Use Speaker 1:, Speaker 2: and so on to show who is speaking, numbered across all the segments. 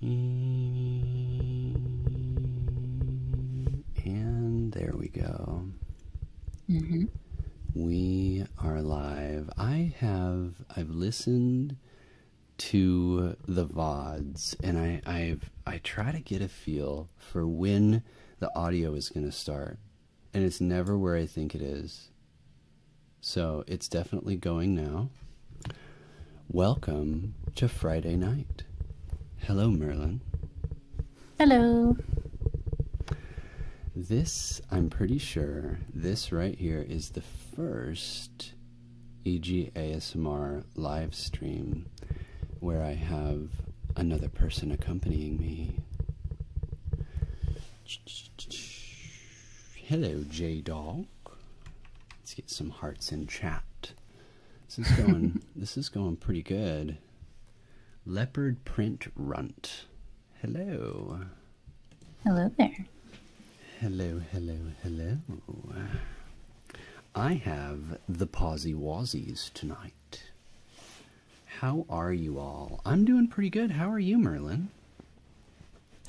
Speaker 1: And there we go. Mm-hmm. We are live. I have I've listened to the vods, and I I try to get a feel for when the audio is going to start, and it's never where I think it is. So it's definitely going now. Welcome to Friday night. Hello, Merlin. Hello. This, I'm pretty sure, this right here is the first EG ASMR live stream where I have another person accompanying me. Hello, J Dog. Let's get some hearts in chat. This is going. this is going pretty good. Leopard print runt. Hello.
Speaker 2: Hello there.
Speaker 1: Hello, hello, hello. I have the Posy Wazzies tonight. How are you all? I'm doing pretty good. How are you, Merlin?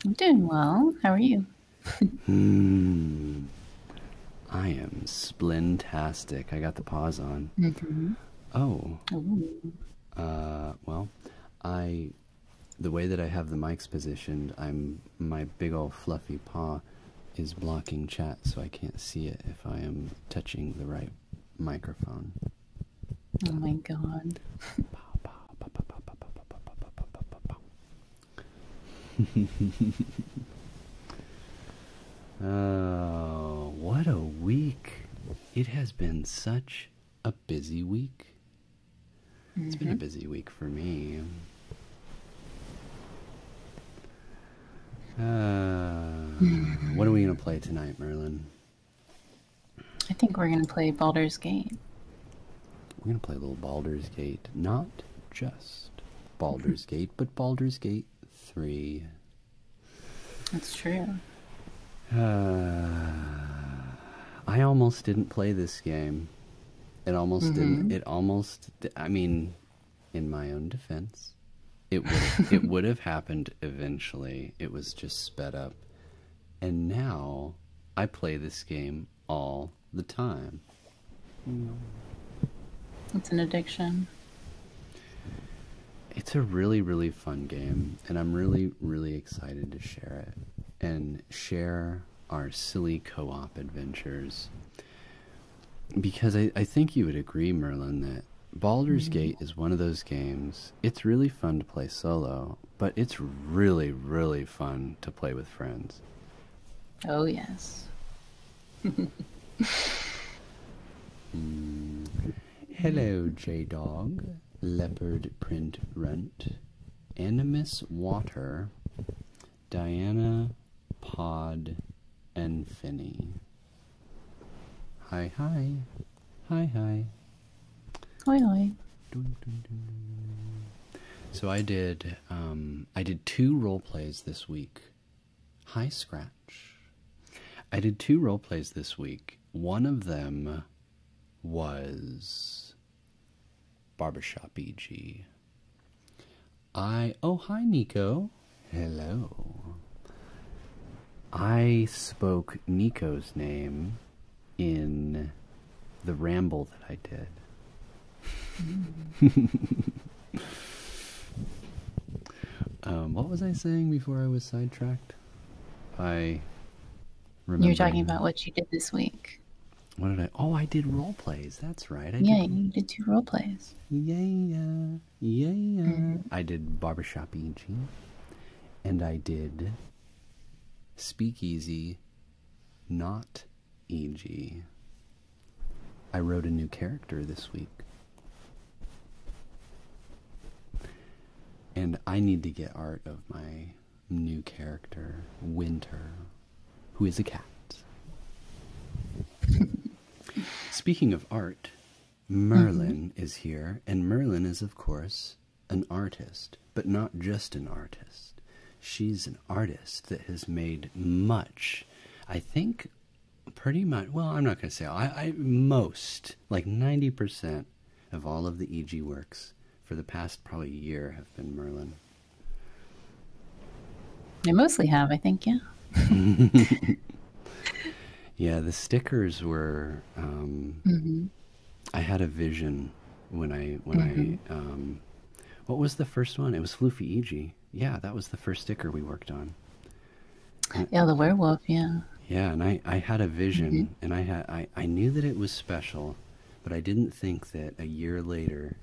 Speaker 2: I'm doing well. How are you?
Speaker 1: hmm. I am splintastic. I got the pause on. Oh. Uh, well, I, the way that I have the mics positioned, I'm my big old fluffy paw is blocking chat, so I can't see it if I am touching the right microphone.
Speaker 2: Oh my god.
Speaker 1: oh, what a week! It has been such a busy week. It's been a mm-hmm. busy week for me. Uh, what are we going to play tonight, Merlin?
Speaker 2: I think we're going to play Baldur's Gate.
Speaker 1: We're going to play a little Baldur's Gate. Not just Baldur's Gate, but Baldur's Gate 3. That's true. Uh, I almost didn't play this game. It almost didn't. Mm-hmm. It almost. I mean, in my own defense, it it would have happened eventually. It was just sped up, and now I play this game all the time.
Speaker 2: It's an addiction.
Speaker 1: It's a really, really fun game, and I'm really, really excited to share it and share our silly co op adventures. Because I, I think you would agree, Merlin, that Baldur's mm-hmm. Gate is one of those games. It's really fun to play solo, but it's really, really fun to play with friends. Oh, yes. mm. Hello, J Dog, Leopard Print Rent, Animus Water, Diana Pod, and Finny. Hi, hi. Hi, hi. Hi, hi. So I did um, I did two role plays this week. Hi Scratch. I did two role plays this week. One of them was Barbershop EG. I oh hi Nico. Hello. I spoke Nico's name in the ramble that I did. um, what was I saying before I was sidetracked? I remember. You're talking about
Speaker 2: what you did this week.
Speaker 1: What did I? Oh, I did role plays. That's right. I yeah, did...
Speaker 2: you did two role plays.
Speaker 1: Yeah, yeah, yeah. Mm. I did barbershop Ichi, and I did speakeasy, not E.g., I wrote a new character this week. And I need to get art of my new character, Winter, who is a cat. Speaking of art, Merlin mm-hmm. is here, and Merlin is, of course, an artist but not just an artist. She's an artist that has made much, I think, pretty much. Well, I'm not going to say I, I most like 90% of all of the EG works for the past probably year have been Merlin.
Speaker 2: They mostly have, I think, yeah.
Speaker 1: yeah, the stickers were. Um, mm-hmm. I had a vision when I when I mm-hmm. um, what was the first one? It was Floofy EG. Yeah, that was the first sticker we worked on. yeah, the
Speaker 2: werewolf. Yeah.
Speaker 1: Yeah, and I, I had a vision, mm-hmm. and I had I, I knew that it was special, but I didn't think that a year later,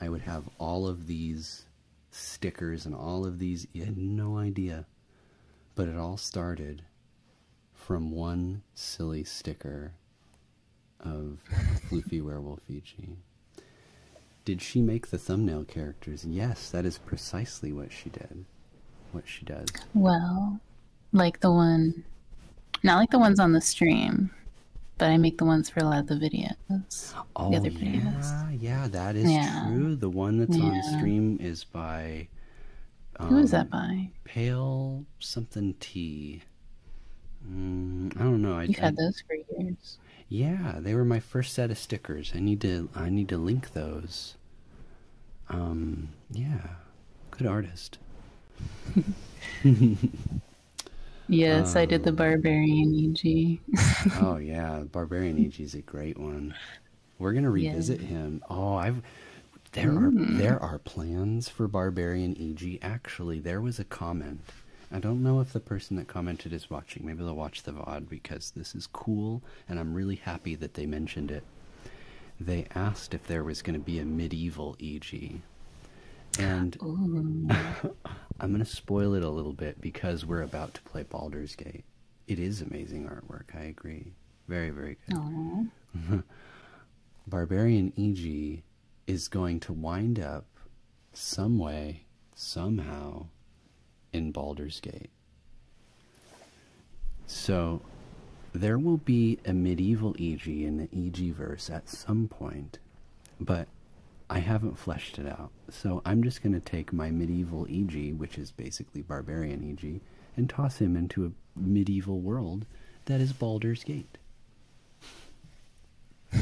Speaker 1: I would have all of these stickers and all of these. You had no idea, but it all started from one silly sticker of Floofy Werewolf Ichi. Did she make the thumbnail characters? Yes, that is precisely what she did. What she does.
Speaker 2: Well, like the one, not like the ones on the stream, but I make the ones for a lot of the videos. Oh, yeah,
Speaker 1: yeah, that is true. The one that's on stream is by.
Speaker 2: Who is that um, by?
Speaker 1: Pale something T. Mm, I don't know. I, have had
Speaker 2: those for years.
Speaker 1: Yeah, they were my first set of stickers. I need to I need to link those. Um, yeah. Good artist. yes, I
Speaker 2: did the um, Barbarian EG.
Speaker 1: oh yeah, Barbarian EG is a great one. We're going to revisit him. Oh, I've there are mm. there are plans for Barbarian EG actually. There was a comment I don't know if the person that commented is watching. Maybe they'll watch the VOD because this is cool and I'm really happy that they mentioned it. They asked if there was going to be a medieval EG. And I'm going to spoil it a little bit because we're about to play Baldur's Gate. It is amazing artwork, I agree. Very, very
Speaker 2: good.
Speaker 1: Barbarian EG is going to wind up some way, somehow, in Baldur's Gate. So, there will be a medieval EG in the E.G.verse at some point, but I haven't fleshed it out. So, I'm just going to take my medieval EG, which is basically barbarian EG, and toss him into a medieval world that is Baldur's Gate. All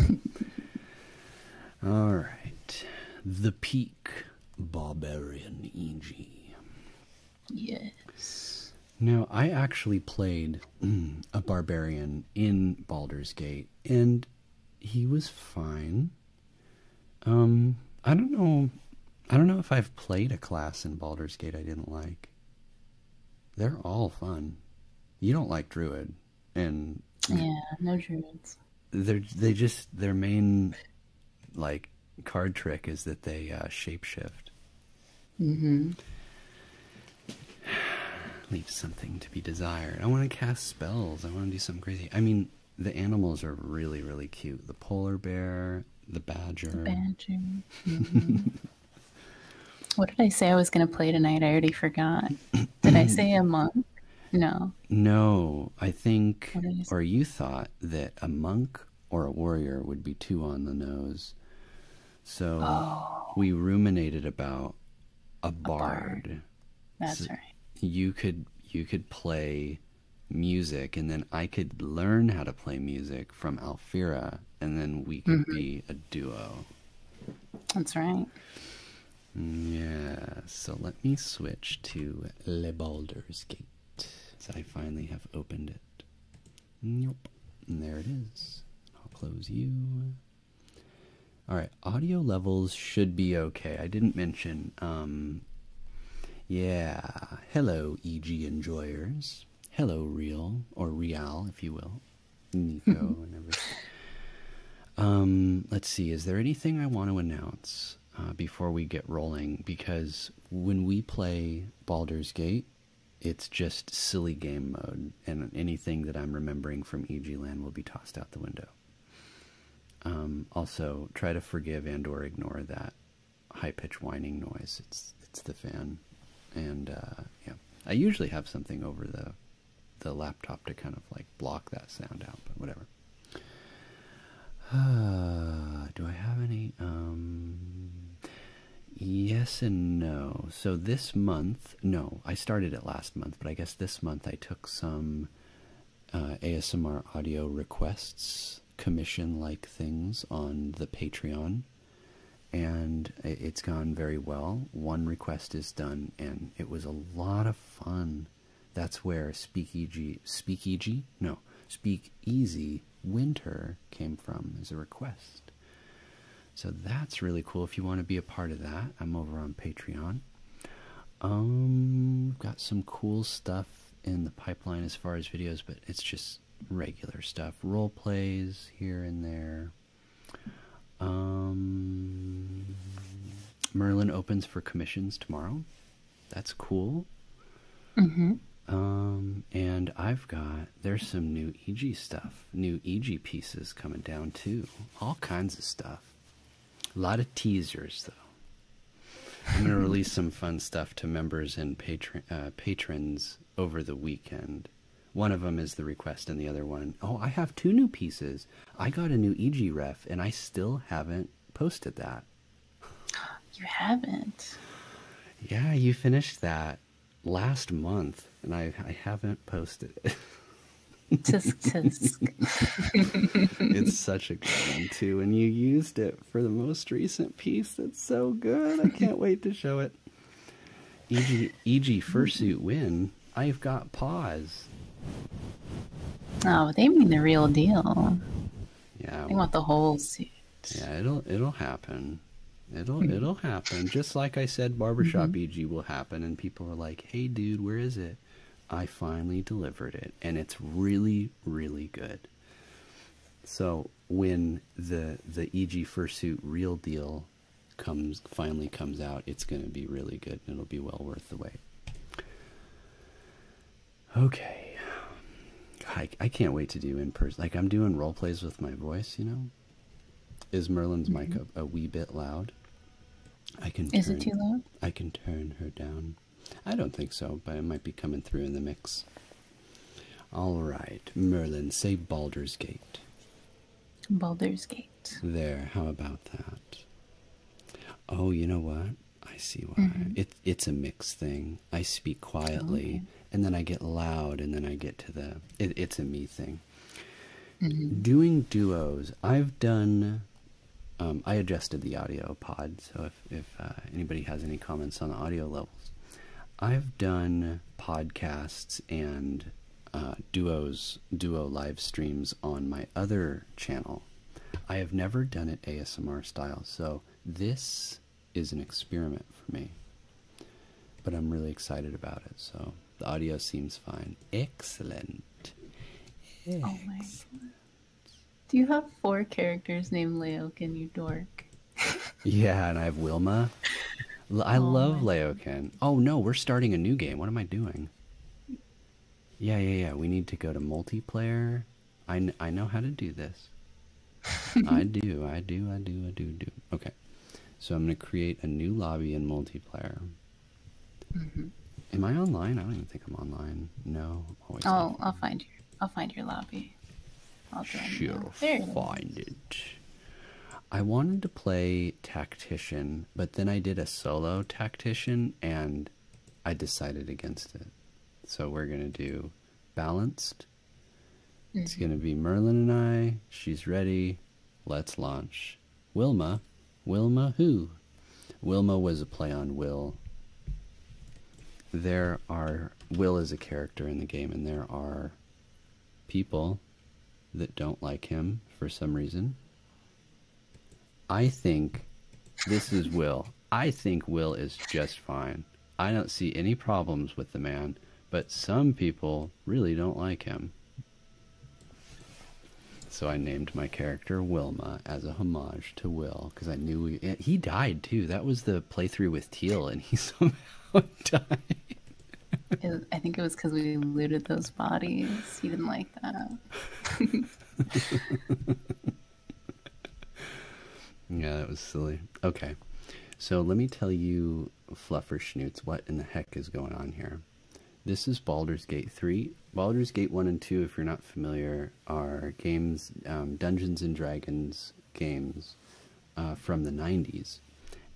Speaker 1: right, the peak barbarian EG.
Speaker 2: Yes.
Speaker 1: Now I actually played a barbarian in Baldur's Gate, and he was fine. Um, I don't know. I don't know if I've played a class in Baldur's Gate I didn't like. They're all fun. You don't like Druid and yeah,
Speaker 2: no druids.
Speaker 1: They're they just their main like card trick is that they uh, shapeshift.
Speaker 2: Mm-hmm.
Speaker 1: Leave something to be desired. I want to cast spells. I want to do something crazy. I mean, the animals are really really cute. The polar bear, the badger.
Speaker 2: badger. Mm-hmm. What did I say I was going to play tonight? I already forgot. Did I say a monk? No.
Speaker 1: No, I think, or you thought that a monk or a warrior would be too on the nose. So oh. we ruminated about a bard. That's right. You could you could play music, and then I could learn how to play music from Alfira, and then we could mm-hmm. be a duo. That's right. Yeah, so let me switch to Le Balder's Gate. So I finally have opened it. Nope. And there it is. I'll close you. Alright, audio levels should be okay. I didn't mention, um, yeah. Hello, EG enjoyers. Hello, Real, or Real, if you will. Um, let's see. Is there anything I want to announce uh, before we get rolling? Because when we play Baldur's Gate, it's just silly game mode, and anything that I'm remembering from Eglan will be tossed out the window. Um, also, try to forgive and/or ignore that high-pitched whining noise. It's it's the fan, and uh, yeah, I usually have something over the the laptop to kind of like block that sound out, but whatever. Uh, do I have any? Um, yes and no. So this month, no, I started it last month, but I guess this month I took some uh, ASMR audio requests, commission like things on the Patreon and it's gone very well. One request is done, and it was a lot of fun. That's where Speakeasy, Speakeasy, no, speak easy Winter came from as a request. So that's really cool. If you want to be a part of that, I'm over on Patreon. Um, got some cool stuff in the pipeline as far as videos, but it's just regular stuff, role plays here and there. Um, Merlin opens for commissions tomorrow. That's cool. Mm-hmm. Um, and I've got there's some new EG stuff, new EG pieces coming down too. All kinds of stuff. A lot of teasers though. I'm gonna release some fun stuff to members and uh, patrons over the weekend. One of them is the request, and the other one, oh, I have two new pieces. I got a new EG ref, and I still haven't posted that.
Speaker 2: You haven't?
Speaker 1: Yeah, you finished that last month, and I, haven't posted it. tisk, tisk. it's such a good one, too, and you used it for the most recent piece. That's so good. I can't wait to show it. EG, EG fursuit win I've got paws.
Speaker 2: Oh, they mean the real deal.
Speaker 1: Yeah. They want the whole suit. Yeah, it'll it'll happen. It'll hmm. it'll happen. Just like I said, barbershop mm-hmm. EG will happen, and people are like, "Hey, dude, where is it?" I finally delivered it, and it's really really good. So when the the EG fursuit real deal comes finally comes out, it's going to be really good it'll be well worth the wait. Okay. I, I can't wait to do in person. Like I'm doing role plays with my voice, you know. Is Merlin's mic mm-hmm. a, wee bit loud? I can. Is it too loud? I can turn her down. I don't think so, but it might be coming through in the mix. All right, Merlin, say Baldur's Gate. Baldur's Gate. There, how about that? Oh, you know what? I see why. Mm it's a mixed thing. I speak quietly, and then I get loud, and then I get to the. it's a me thing. Mm-hmm. Doing duos, I've done. Um, I adjusted the audio pod, so if, if uh, anybody has any comments on the audio levels, I've done podcasts and uh, duos duo live streams on my other channel. I have never done it ASMR style, so this is an experiment for me. But I'm really excited about it, so the audio seems fine. Excellent. Oh my.
Speaker 2: Do you have four characters named Laokin, you dork?
Speaker 1: yeah, and I have Wilma. I oh love Laokin. Oh no, we're starting a new game. What am I doing? Yeah, yeah, yeah. We need to go to multiplayer. I, I know how to do this. I do, I do, I do, I do, do. Okay. So I'm going to create a new lobby in multiplayer. Mm-hmm. Am I online? I don't even think I'm online. No,
Speaker 2: Oh, I'll find your. I'll find your lobby.
Speaker 1: I'll join. Sure, find it. I wanted to play tactician, but then I did a solo tactician and I decided against it. So we're going to do balanced. It's mm-hmm. going to be Merlin and I. She's ready. Let's launch. Wilma. Wilma who? Wilma was a play on Will. There are Will is a character in the game, and there are people that don't like him for some reason. I think this is Will. I think Will is just fine. I don't see any problems with the man, but some people really don't like him. So I named my character Wilma as a homage to Will because I knew he died too. That was the playthrough with Teal, and he somehow died.
Speaker 2: I think it was because we looted those bodies. He didn't like that.
Speaker 1: yeah, that was silly. Okay. So let me tell you, Fluffer Schnoots, what in the heck is going on here? This is Baldur's Gate 3. Baldur's Gate 1 and 2, if you're not familiar, are games, um, Dungeons and Dragons games uh, from the 90s.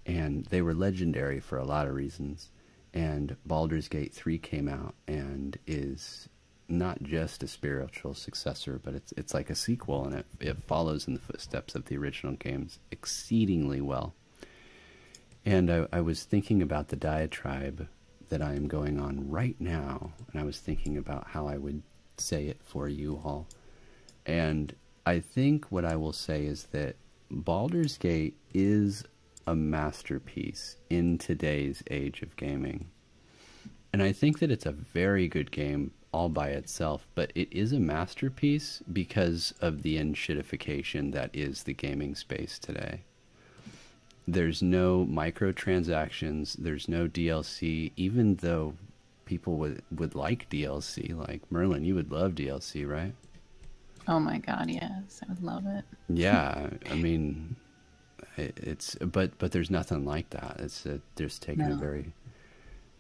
Speaker 1: And they were legendary for a lot of reasons and Baldur's Gate 3 came out and is not just a spiritual successor, but it's it's like a sequel, and it it follows in the footsteps of the original games exceedingly well. And I, I was thinking about the diatribe that I am going on right now, and I was thinking about how I would say it for you all. And I think what I will say is that Baldur's Gate is a masterpiece in today's age of gaming. And I think that it's a very good game all by itself, but it is a masterpiece because of the enshittification that is the gaming space today. There's no microtransactions, there's no DLC, even though people would, would like DLC. Like Merlin, you would love DLC, right?
Speaker 2: Oh my god, yes, I would love it.
Speaker 1: Yeah, I mean, it's but but there's nothing like that. It's a, just taking a very,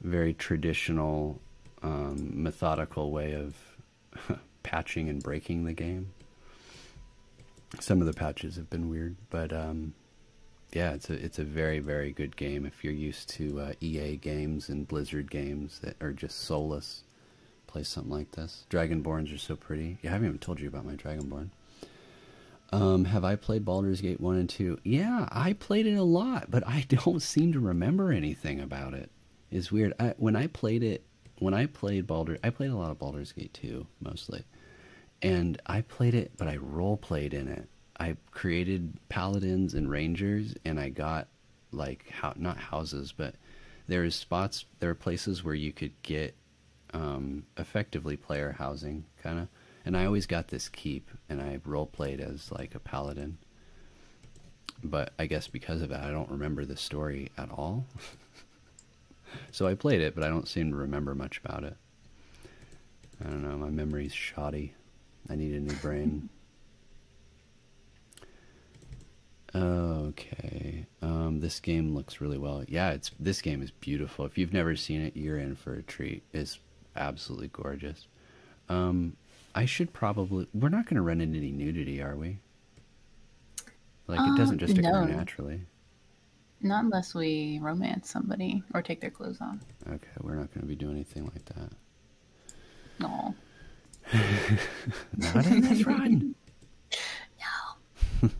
Speaker 1: very traditional, um, methodical way of patching and breaking the game. Some of the patches have been weird, but um, yeah, it's a it's a very very good game if you're used to uh, EA games and Blizzard games that are just soulless play something like this. Dragonborns are so pretty. Yeah, I haven't even told you about my Dragonborn. Um, have I played Baldur's Gate 1 and 2? Yeah, I played it a lot, but I don't seem to remember anything about it. It's weird. when I played it, when I played Baldur, I played a lot of Baldur's Gate 2 mostly. And I played it, but I role played in it. I created paladins and rangers, and I got like how not houses, but there is spots, there are places where you could get um, effectively player housing, kind of. And I always got this keep, and I role played as like a paladin. But I guess because of it, I don't remember the story at all. so I played it, but I don't seem to remember much about it. I don't know, my memory's shoddy. I need a new brain. Okay. Um, this game looks really well. Yeah, it's this game is beautiful. If you've never seen it, you're in for a treat. It's absolutely gorgeous. Um, I should probably. We're not going to run into any nudity, are we? Like it doesn't um, just occur naturally.
Speaker 2: Not unless we romance somebody or take their clothes off.
Speaker 1: Okay, we're not going to be doing anything like that. No. not in this no.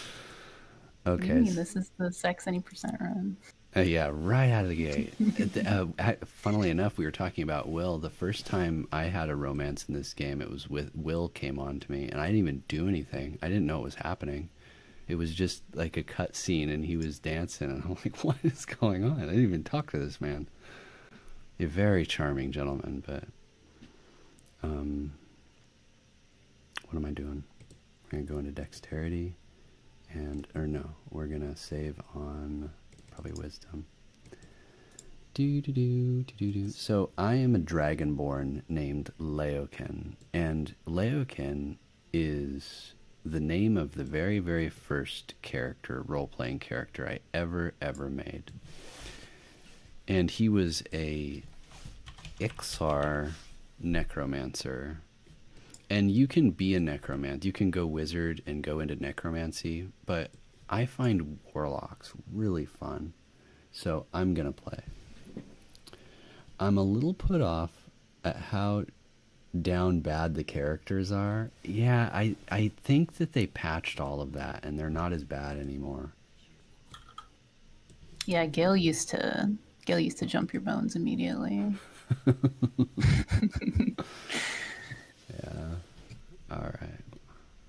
Speaker 1: okay. this
Speaker 2: is the sex any percent run.
Speaker 1: Uh, yeah, right out of the gate. Uh, funnily enough, we were talking about Will. The first time I had a romance in this game, it was with Will came on to me, and I didn't even do anything. I didn't know it was happening. It was just like a cut scene, and he was dancing, and I'm like, "What is going on?" I didn't even talk to this man. A very charming gentleman, but um, what am I doing? We're going to go into dexterity and, or no, we're going to save on probably wisdom. Do, do, do, do, do, So I am a dragonborn named Laoken, and Laoken is the name of the very, very first character, role playing character I ever, ever made and he was a Ixar necromancer. And you can be a necromant. You can go wizard and go into necromancy, but I find warlocks really fun. So I'm going to play. I'm a little put off at how down bad the characters are yeah, I I think that they patched all of that, and they're not as bad anymore.
Speaker 2: Yeah, Gail used to Gail used to jump your bones immediately.
Speaker 1: yeah. All right.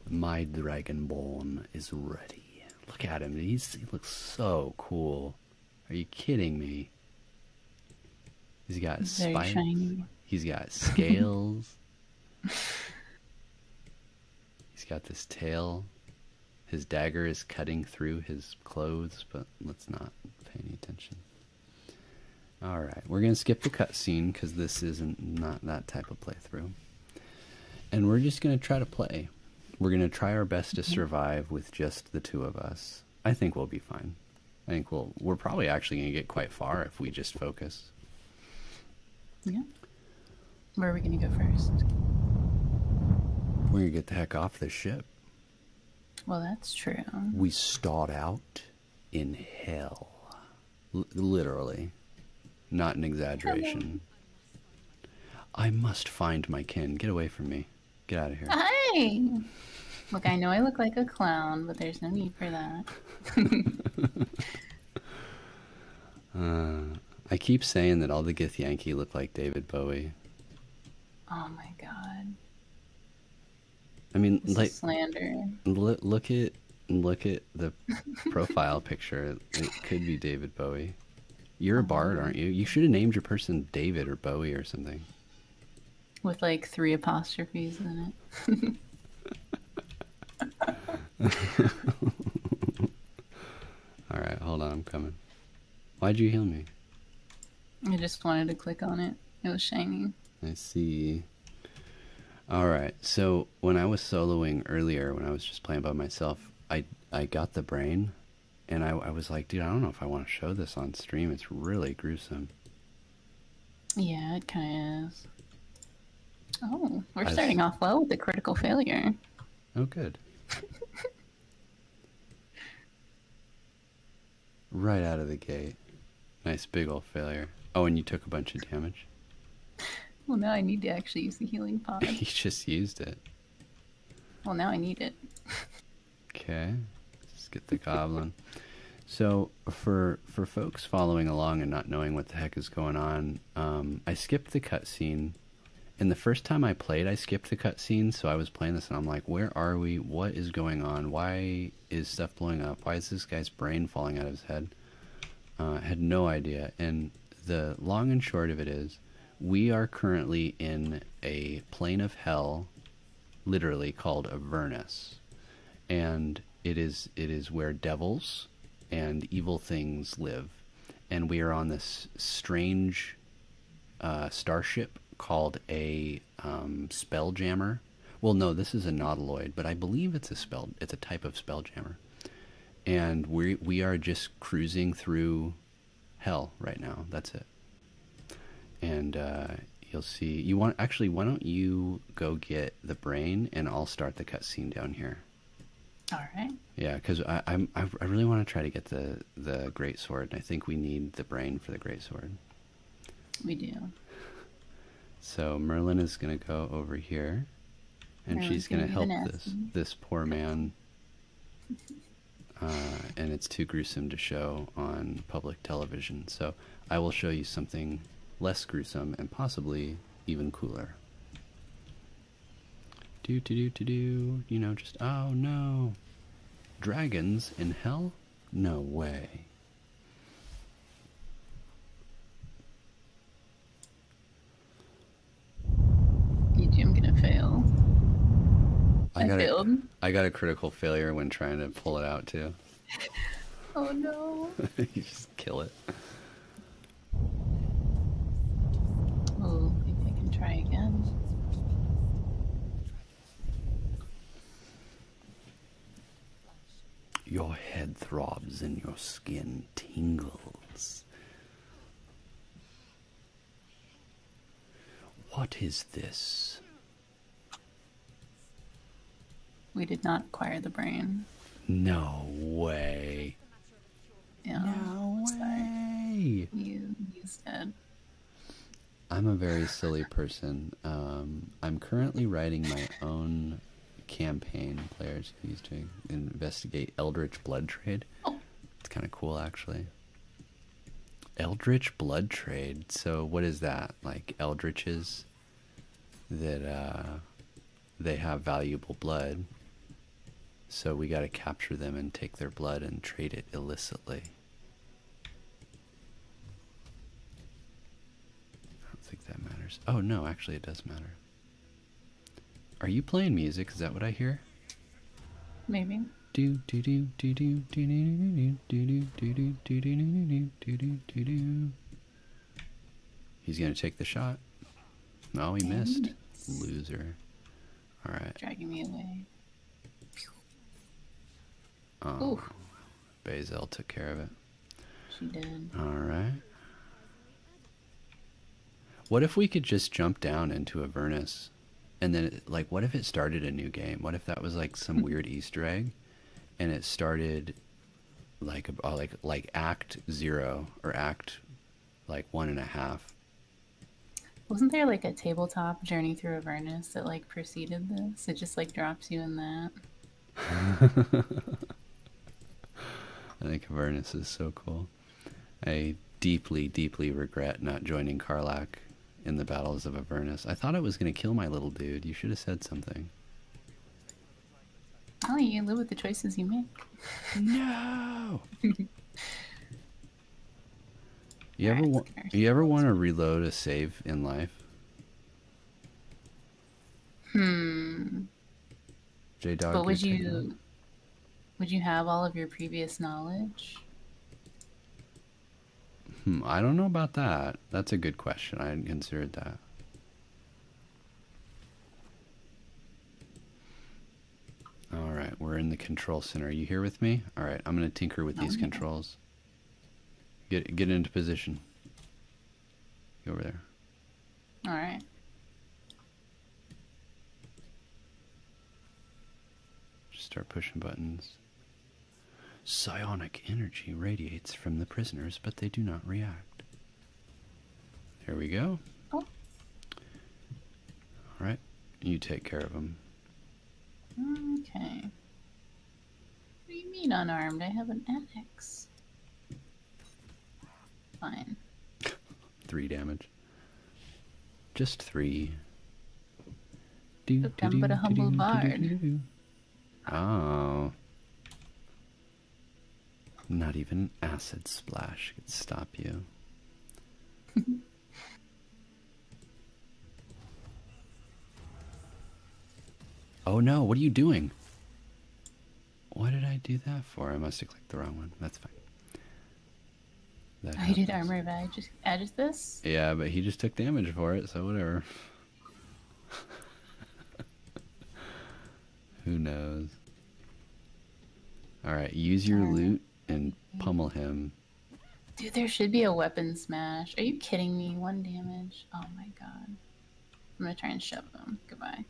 Speaker 1: My Dragonborn is ready. Look at him. He's, he looks so cool. Are you kidding me? He's got Very Shiny. He's got scales. He's got this tail. His dagger is cutting through his clothes, but let's not pay any attention. All right, we're gonna skip the cutscene because this isn't not that type of playthrough, and we're just gonna try to play. We're gonna try our best to mm-hmm. survive with just the two of us. I think we'll be fine. I think we'll we're probably actually gonna get quite far if we just focus.
Speaker 2: Yeah. Where are we going to go first?
Speaker 1: We're going to get the heck off this ship.
Speaker 2: Well, that's true. We
Speaker 1: start out in hell. literally. Not an exaggeration. I must find my kin. Get away from me. Get out of here.
Speaker 2: Hi! Look, I know I look like a clown, but there's no need for that.
Speaker 1: Uh, I keep saying that all the Githyanki look like David Bowie.
Speaker 2: Oh my god. I mean, like slander.
Speaker 1: look at look at the profile picture. It could be David Bowie. You're a bard, um, aren't you? You should have named your person David or Bowie or something.
Speaker 2: With like three apostrophes in it.
Speaker 1: Alright, hold on, I'm coming. Why'd you heal me?
Speaker 2: I just wanted to click on it. It was shiny.
Speaker 1: I see. Alright, so when I was soloing earlier, when I was just playing by myself, I, I got the brain, and I, I was like, dude, I don't know if I want to show this on stream. It's really gruesome.
Speaker 2: Yeah, it kind of Oh, we're starting off well with a critical failure.
Speaker 1: Oh, good. right out of the gate. Nice big old failure. Oh, and you took a bunch of damage.
Speaker 2: Well, now I need to actually use the healing pod.
Speaker 1: you just used it.
Speaker 2: Well, now I need it.
Speaker 1: okay, let's get the goblin. So, for for folks following along and not knowing what the heck is going on, um, I skipped the cutscene. And the first time I played, I skipped the cutscene. So I was playing this and I'm like, where are we? What is going on? Why is stuff blowing up? Why is this guy's brain falling out of his head? Uh, had no idea. And the long and short of it is, we are currently in a plane of hell, literally called Avernus. And it is it is where devils and evil things live. And we are on this strange uh, starship called a um, spelljammer. Well, no, this is a nautiloid, but I believe it's a spell. It's a type of spelljammer, and we we are just cruising through hell right now. That's it. And uh, you'll see. You want actually? Why don't you go get the brain, and I'll start the cutscene down here. All right. Yeah, because I i really want to try to get the the great sword, and I think we need the brain for the great sword. We do. So Merlin is going to go over here, and she's going to help this this poor man. Uh, and it's too gruesome to show on public television. So I will show you something less gruesome and possibly even cooler. Do to do to do, you know, just oh no. Dragons in hell? No way.
Speaker 2: EG, I'm gonna fail. I, failed. A,
Speaker 1: I got a critical failure when trying to pull it out too.
Speaker 2: oh no.
Speaker 1: you just kill it.
Speaker 2: Oh, I can try again.
Speaker 1: Your head throbs and your skin tingles. What is this?
Speaker 2: We did not acquire the brain.
Speaker 1: No way.
Speaker 2: No way. You used it.
Speaker 1: I'm a very silly person. Um, I'm currently writing my own campaign players used to investigate Eldritch Blood Trade. Oh. It's kind of cool, actually. Eldritch Blood Trade. So, what is that? Like, Eldritch's that uh, they have valuable blood. So we got to capture them and take their blood and trade it illicitly. I don't think that matters. Oh, no, actually, it does matter. Are you playing music? Is that what I hear? Maybe. Do do do do do do do do do do do do do do do do do do He's going to take the shot. No, he missed. Loser. All right. Dragging me away. Oh, Basil took care of it. She did. All right. What if we could just jump down into Avernus? And then, like, what if it started a new game? What if that was like some weird Easter egg, and it started like uh, like like act zero or act like one and a half
Speaker 2: wasn't there like a tabletop journey through avernus that like preceded this it just like drops you in that
Speaker 1: i think avernus is so cool i deeply deeply regret not joining karlak in the battles of avernus i thought it was going to kill my little dude you should have said something
Speaker 2: Oh, you live with the choices you make. No.
Speaker 1: you ever want you ever want to reload a save in life? Hmm. J would you
Speaker 2: would you have all of your previous knowledge?
Speaker 1: Hmm, I don't know about that. That's a good question. I hadn't considered that. All right, we're in the control center. Are you here with me? All right, I'm going to tinker with these controls. Get get into position. Go over there. All right. Just start pushing buttons. Psionic energy radiates from the prisoners, but they do not react. Here we go. Oh. All right. You take care of him.
Speaker 2: Okay. What do you mean unarmed? I have an axe. Fine.
Speaker 1: three damage. Just three. Do, Look, do, but a humble bard. Oh. Not even an acid splash could stop you. oh no, what are you doing? What did I do that for? I must have clicked the wrong one. That's fine. I oh, did
Speaker 2: armor, but I just added this.
Speaker 1: Yeah, but he just took damage for it, so whatever. Who knows? Alright, use your loot and pummel him.
Speaker 2: Dude, there should be a weapon smash. Are you kidding me? One damage. Oh my god. I'm gonna try and shove him. Goodbye.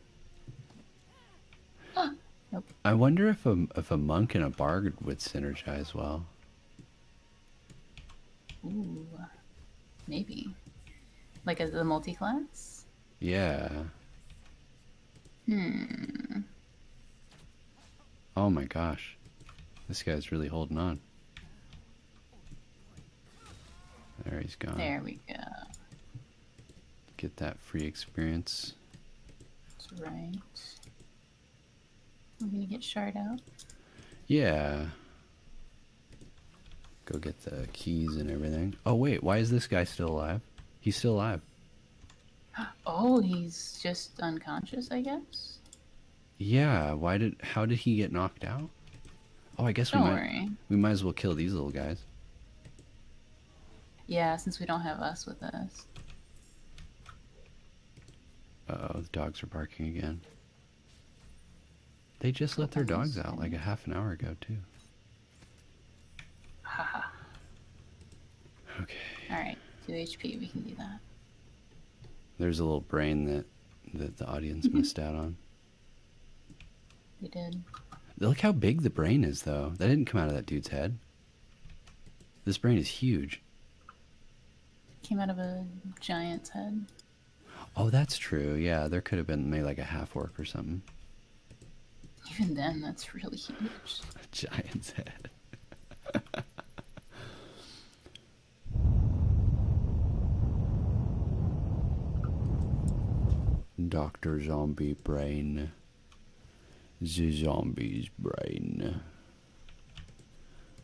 Speaker 2: Ah, nope.
Speaker 1: I wonder if a if a monk and a bard would synergize well.
Speaker 2: Ooh, maybe. Like as a multi-class? Yeah. Hmm.
Speaker 1: Oh my gosh. This guy's really holding on. There he's gone. There we go. Get that free experience.
Speaker 2: That's right. We're gonna get shard out.
Speaker 1: Yeah. Go get the keys and everything. Oh wait, why is this guy still alive? He's still alive.
Speaker 2: Oh, he's just unconscious, I guess.
Speaker 1: Yeah. Why did? How did he get knocked out? Oh, I guess don't we might. Worry. We might as well kill these little guys.
Speaker 2: Yeah, since we don't have us with us.
Speaker 1: oh, the dogs are barking again. They just let their dogs out like a half an hour ago too.
Speaker 2: okay. All right, two HP. We can do that.
Speaker 1: There's a little brain that that the audience missed out on. We did. Look how big the brain is, though. That didn't come out of that dude's head. This brain is huge.
Speaker 2: Came out of a giant's head.
Speaker 1: Oh, that's true. Yeah, there could have been maybe like a half work or something.
Speaker 2: Even then, that's really huge.
Speaker 1: A giant's head. Dr. Zombie Brain. The Zombie's Brain.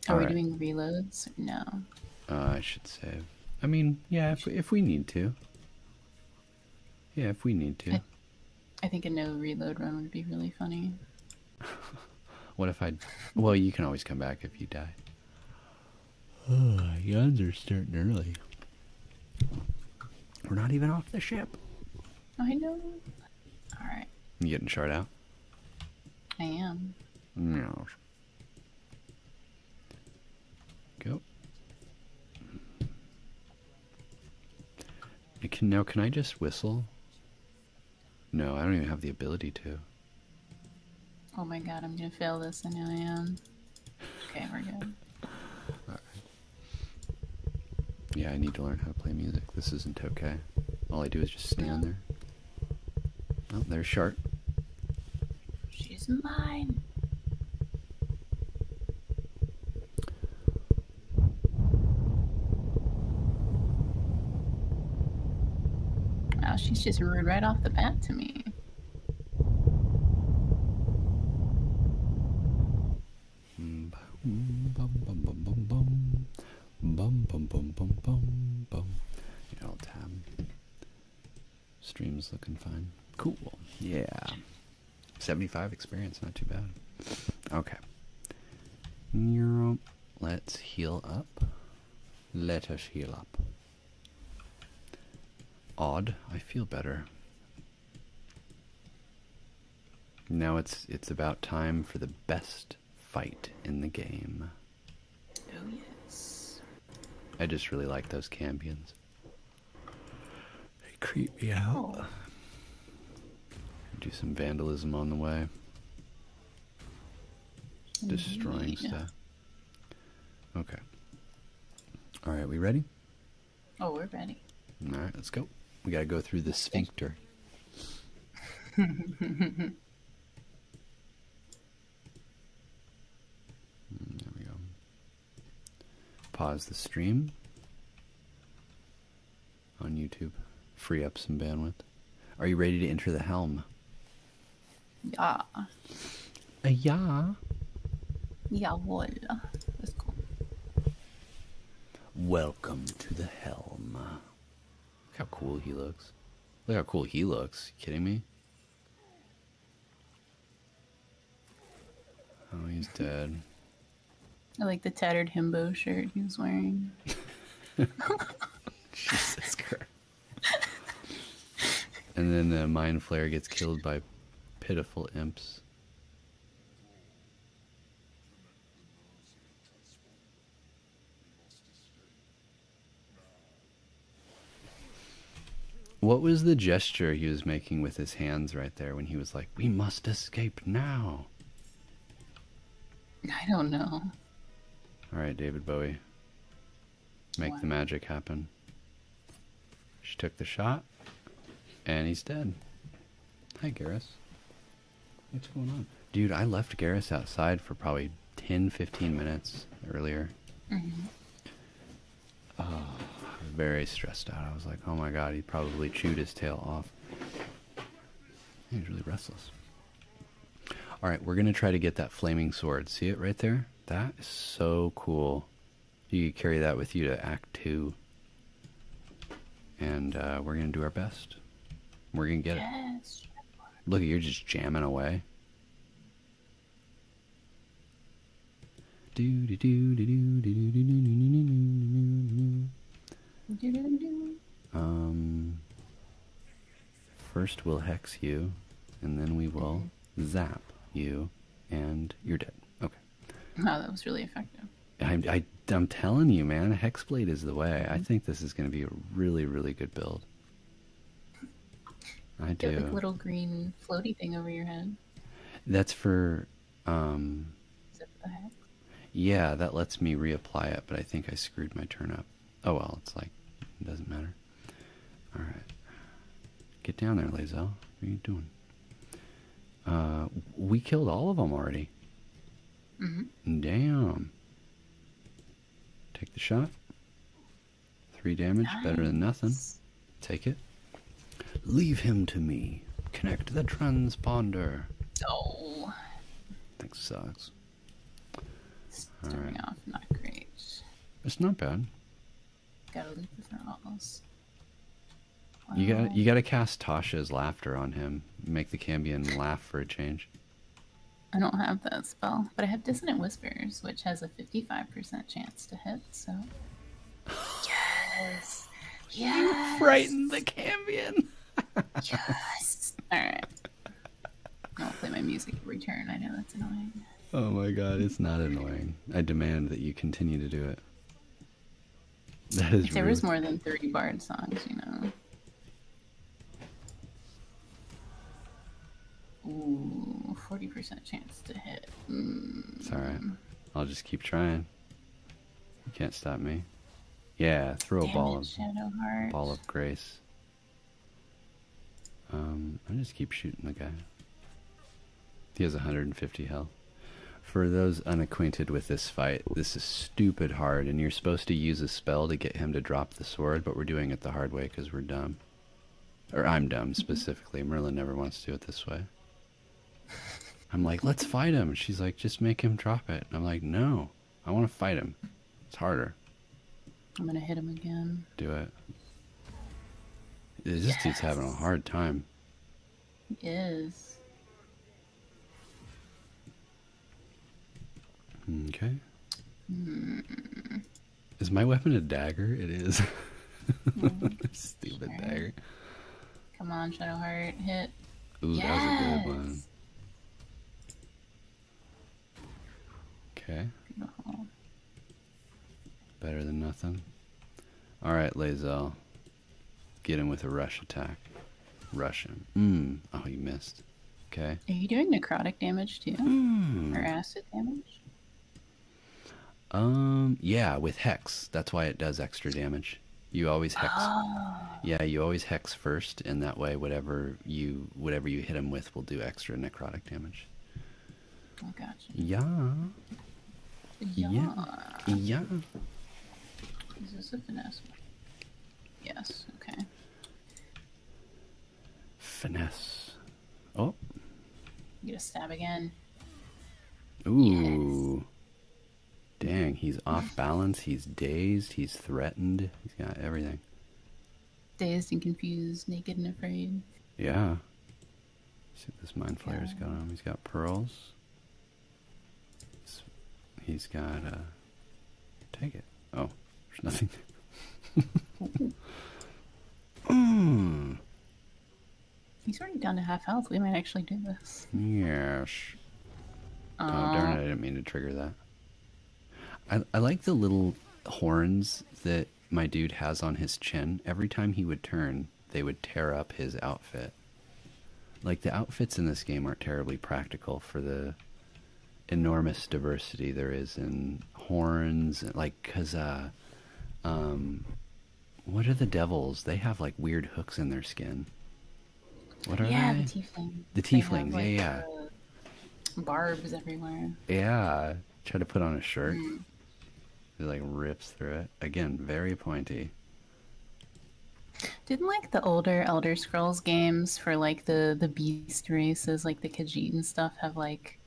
Speaker 1: Are we
Speaker 2: doing reloads? No.
Speaker 1: Uh, I should say. I mean, yeah, if we need to. Yeah, if we need to.
Speaker 2: I, think a no reload run would be really funny.
Speaker 1: what if I... Well, you can always come back if you die. Oh, guns are starting early. We're not even off
Speaker 2: the ship. I know. Alright.
Speaker 1: You getting shard out? I am. No. Go now can I just whistle? No, I don't even have the ability to.
Speaker 2: Oh my god, I'm gonna fail this. I know I am. Okay, we're good.
Speaker 1: Yeah, I need to learn how to play music. This isn't okay. All I do is just stand there. Oh, there's Shark.
Speaker 2: She's mine. Wow, she's just rude right off the bat to me.
Speaker 1: You know, tab. Stream's looking fine. Cool. Yeah. 75 experience, not too bad. Okay. Let's heal up. Let us heal up. Odd. I feel better. Now it's it's about time for the best fight in the game. Oh yes. I just really like those cambions. They creep me out. Oh. Do some vandalism on the way. Destroying stuff. Okay. Alright, we ready?
Speaker 2: Oh, we're ready.
Speaker 1: Alright, let's go. We gotta go through the sphincter. Mm, there we go. Pause the stream on YouTube. Free up some bandwidth. Are you ready to enter the helm? Yeah. Uh, yeah.
Speaker 2: Jawohl. Let's go.
Speaker 1: Welcome to the helm. Look how cool he looks. Look how cool he looks. kidding me? Oh, he's dead.
Speaker 2: I like the tattered himbo shirt he was wearing.
Speaker 1: Jesus Christ. and then the mind flare gets killed by pitiful imps. What was the gesture he was making with his hands right there when he was like we must escape now.
Speaker 2: I don't know.
Speaker 1: All right, David Bowie. Make the magic happen. She took the shot, and he's dead. Hi, Garrus. What's going on? Dude, I left Garrus outside for probably 10, 15 minutes earlier. Mm-hmm. Oh, very stressed out. I was like, oh my god, he probably chewed his tail off. He's really restless. Alright, we're going to try to get that flaming sword. See it right there? That is so cool. You could carry that with you to Act 2. And uh, we're going to do our best. We're going to get it. Look, you're just jamming away. Do do do do do do do do do do
Speaker 2: do do do do.
Speaker 1: Um. First we'll hex you, and then we will zap you, and you're dead. Okay.
Speaker 2: Wow, that was really effective.
Speaker 1: I'm, I, am i am telling you, man, Hexblade is the way. I think this is going to be a really, really good build. I Get do. Get little
Speaker 2: green floaty thing over your head.
Speaker 1: That's for um, yeah, that lets me reapply it, but I think I screwed my turn up. Oh well, it's like, it doesn't matter. Alright. Get down there, Lazel. What are you doing? Uh, we killed all of them already. Mm -hmm. Damn. Take the shot. Three damage, better than nothing. Take it. Leave him to me. Connect the transponder.
Speaker 2: Oh.
Speaker 1: That sucks. Starting off not great. It's not bad.
Speaker 2: Gotta loop the thermals.
Speaker 1: You got you got to cast Tasha's laughter on him. Make the Cambion laugh for a change.
Speaker 2: I don't have that spell, but I have Dissonant Whispers, which has a 55% chance to hit, so you frightened the Cambion. yes. All right. my music every turn. I know that's annoying.
Speaker 1: Oh my god, it's not annoying. I demand that you continue to do it. That is. If more than
Speaker 2: thirty Bard songs, you know. Ooh, forty percent chance to hit. Hmm.
Speaker 1: all right. I'll just keep trying. You can't stop me. Yeah, throw a ball of ball of grace. Um, I just keep shooting the guy. He has 150 health. For those unacquainted with this fight, this is stupid hard, and you're supposed to use a spell to get him to drop the sword, but we're doing it the hard way because we're dumb. Or I'm dumb, specifically. Merlin never wants to do it this way. I'm like, let's fight him. She's like, just make him drop it. I'm like, no, I want to fight him. It's harder.
Speaker 2: I'm gonna hit him again.
Speaker 1: Do it. This yes. dude's having a hard time.
Speaker 2: He is.
Speaker 1: Okay. Hmm. Is my weapon a dagger? It is. Mm-hmm. Stupid dagger.
Speaker 2: Come on, Shadow Heart, hit.
Speaker 1: yes! Okay. Beautiful. Better than nothing. Alright, Lazel. Get him with a rush attack. Rush him. Mm. Oh, you missed. Okay.
Speaker 2: Are you doing necrotic damage too? Mm. Or acid damage?
Speaker 1: Um, yeah, with Hex. That's why it does extra damage. You always hex. Ah. Yeah, you always hex first, and that way, whatever you whatever you hit him with will do extra necrotic damage.
Speaker 2: Oh, gotcha. Yeah. Yeah. Yeah. Is this a finesse? Yes. Okay.
Speaker 1: Finesse. Oh.
Speaker 2: You get a stab again.
Speaker 1: Ooh. Dang, he's off balance, he's dazed, he's threatened, he's got everything.
Speaker 2: Dazed and confused, naked and afraid.
Speaker 1: Yeah. see this mind flayer's got him. He's got pearls. He's got, uh, take it. Oh, there's nothing there.
Speaker 2: He's already down to half health. We might actually do this.
Speaker 1: Yes. oh, darn it. I uh, didn't mean to trigger that. I, I like the little horns that my dude has on his chin. Every time he would turn, they would tear up his outfit. Like, the outfits in this game aren't terribly practical for the enormous diversity there is in horns. Like, because, uh, um, what are the devils? They have like weird hooks in their skin. What are they? the tiefling. The tieflings, have, yeah, yeah.
Speaker 2: Uh, barbs everywhere.
Speaker 1: Yeah. Try to put on a shirt. Mm. like rips through it. Again, very pointy.
Speaker 2: Didn't like the older Elder Scrolls games for like the the beast races, like the Khajiit and stuff, have like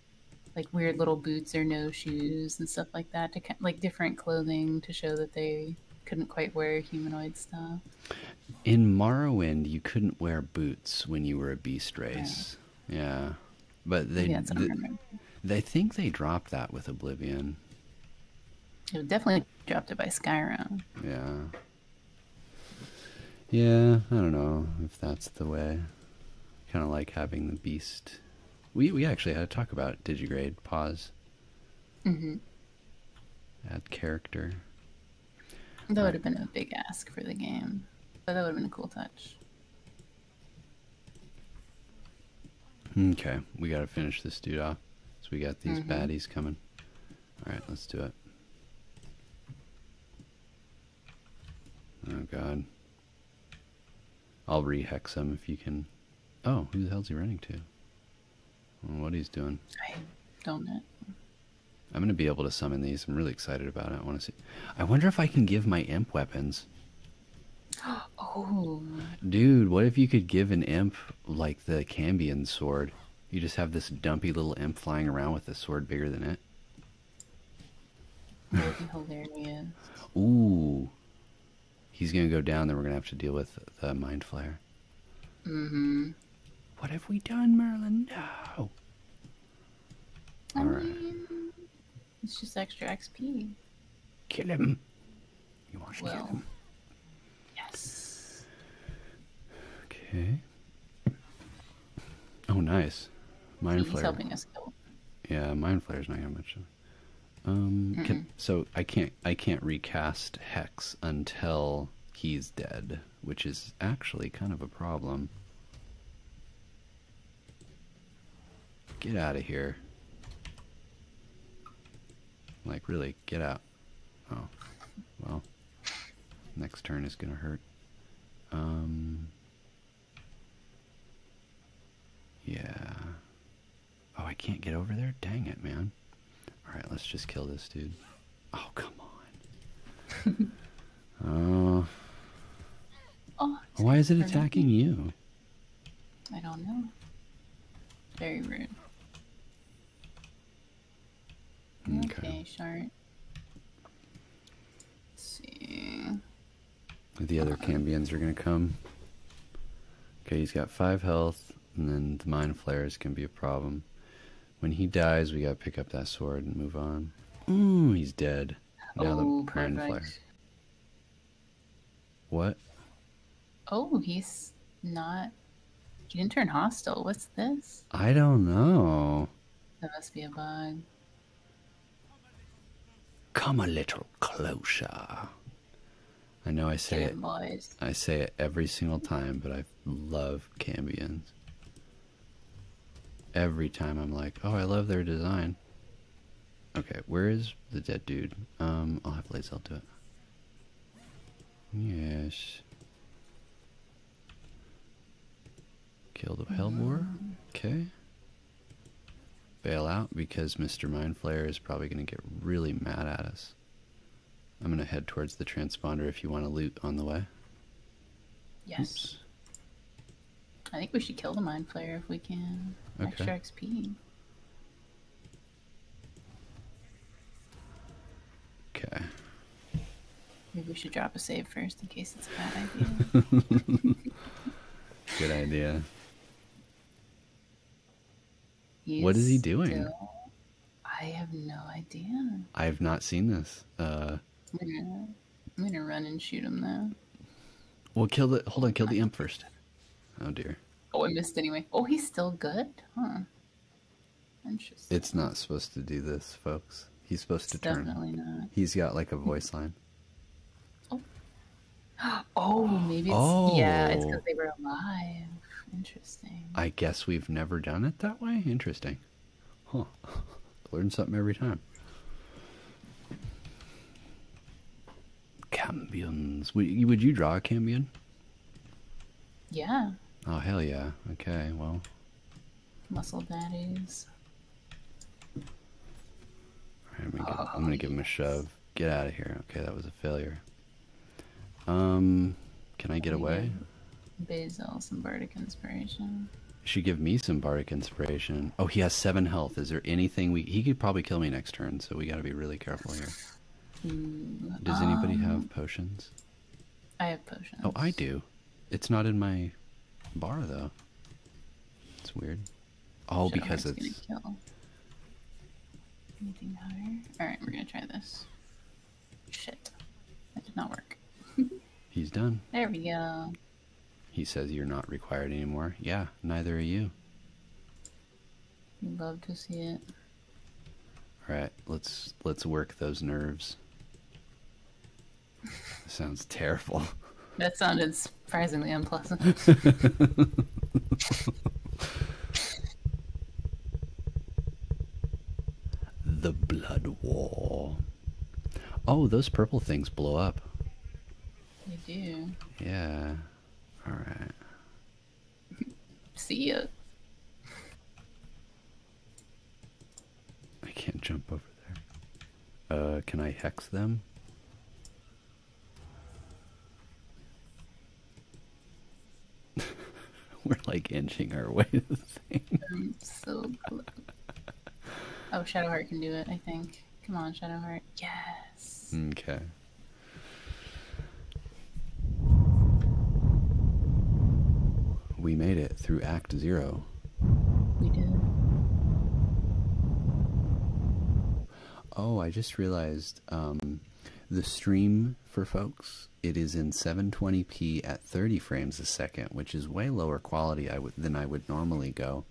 Speaker 2: like weird little boots or no shoes and stuff like that to like different clothing to show that they couldn't quite wear humanoid stuff.
Speaker 1: In Morrowind, you couldn't wear boots when you were a beast race. Yeah, but they they think they dropped that with Oblivion.
Speaker 2: It definitely dropped it by Skyrim.
Speaker 1: Yeah. Yeah, I don't know if that's the way. Kind of like having the beast. We we actually had a talk about digigrade pause. Mm Add character.
Speaker 2: That would have been a big ask for the game, but that would have been a cool touch.
Speaker 1: Okay, we gotta finish this dude off. So we got these mm-hmm. baddies coming. Alright, let's do it. Oh god. I'll rehex him if you can. Oh, who the hell's he running to? what he's doing.
Speaker 2: I I'm
Speaker 1: gonna be able to summon these. I'm really excited about it. I want to see. I wonder if I can give my imp weapons.
Speaker 2: Oh.
Speaker 1: Dude, what if you could give an imp like the Cambian sword? You just have this dumpy little imp flying around with a sword bigger than it. that Ooh he's going to go down, then we're going to have to deal with the mind flare.
Speaker 2: Mm-hmm.
Speaker 1: What have we done, Merlin? No.
Speaker 2: All right. it's just extra XP.
Speaker 1: Kill him. You want to kill him? Yes. Okay. Oh, nice. Mind he's helping us Yeah, mind flare's not gonna um, so I can't I can't recast Hex until he's dead, which is actually kind of a problem. Get out of here. Like really, get out. Oh, well. Next turn is gonna hurt. Um. Yeah. Oh, I can't get over there? Dang it, man. Alright, let's just kill this dude. Oh, come on. oh. Why is it attacking you?
Speaker 2: I don't know. Very rude. Okay, okay
Speaker 1: see. The other uh Cambians are gonna come. Okay, he's got five health and then the mind flares can be a problem. When he dies, we gotta pick up that sword and move on. Ooh, he's dead.
Speaker 2: Now oh, the mind perfect. flare. What? Oh, he's not. He didn't turn hostile. What's this?
Speaker 1: I don't know.
Speaker 2: There must be a bug.
Speaker 1: Come a little closer. I know I say it. I say it every single time, but I love Cambians. Every time I'm like, oh, I love their design. Okay, where is the dead dude? Um, I'll have I'll do it. Yes. Kill the Hellmore. Okay. Bail out because Mr. Mindflayer is probably going to get really mad at us. I'm going to head towards the transponder if you want to loot on the way. Yes.
Speaker 2: I think we should kill the mind flayer if we can.
Speaker 1: Extra XP.
Speaker 2: Okay. Maybe we should drop a save first in case it's a bad idea.
Speaker 1: Good idea
Speaker 2: what is he doing? I have no idea.
Speaker 1: I have not seen this. Uh,
Speaker 2: I'm, gonna, run and shoot him though.
Speaker 1: Well, kill the. Hold on, kill the uh, imp first. Oh dear.
Speaker 2: Oh, I missed anyway. Oh, he's still good, huh?
Speaker 1: Interesting. It's not supposed to do this, folks. He's supposed to turn. Definitely not. He's got like a hmm. voice line.
Speaker 2: Oh, oh maybe it's oh. yeah. It's because oh. they were alive. Interesting.
Speaker 1: I guess we've never done it that way. Interesting. Huh. Learn something every time. Cambions. Would you, draw a cambion? Yeah. Oh, hell yeah. Okay, well.
Speaker 2: Muscle baddies.
Speaker 1: Alright, I'm gonna give him a shove. Get out of here. Okay, that was a failure. Um, can I get away?
Speaker 2: Basil some bardic inspiration.
Speaker 1: She give me some bardic inspiration. Oh, he has seven health. Is there anything we? He could probably kill me next turn, so we got to be really careful here.
Speaker 2: Hmm, Does anybody um, have
Speaker 1: potions?
Speaker 2: I have potions. Oh,
Speaker 1: I do. It's not in my bar though. It's weird. All because it's
Speaker 2: Alright, we're gonna try this. Shit. That did not work. He's done. There we go.
Speaker 1: He says you're not required anymore. Yeah, neither are you.
Speaker 2: Love to see it.
Speaker 1: Alright, let's let's work those nerves. sounds terrible. That sounded
Speaker 2: surprisingly unpleasant.
Speaker 1: The Blood War. Oh, those purple things blow up.
Speaker 2: They do.
Speaker 1: Yeah. Alright.
Speaker 2: See ya.
Speaker 1: I can't jump over there. Uh, can I hex them? We're like inching our way to the thing. I'm so close.
Speaker 2: Oh, Shadowheart can do it, I think. Come on, Shadowheart. Yes.
Speaker 1: Okay. We made it through Act Zero. We did. Oh, I just realized um, the stream for folks it is in 720p at 30 frames a second, which is way lower quality than I would normally go.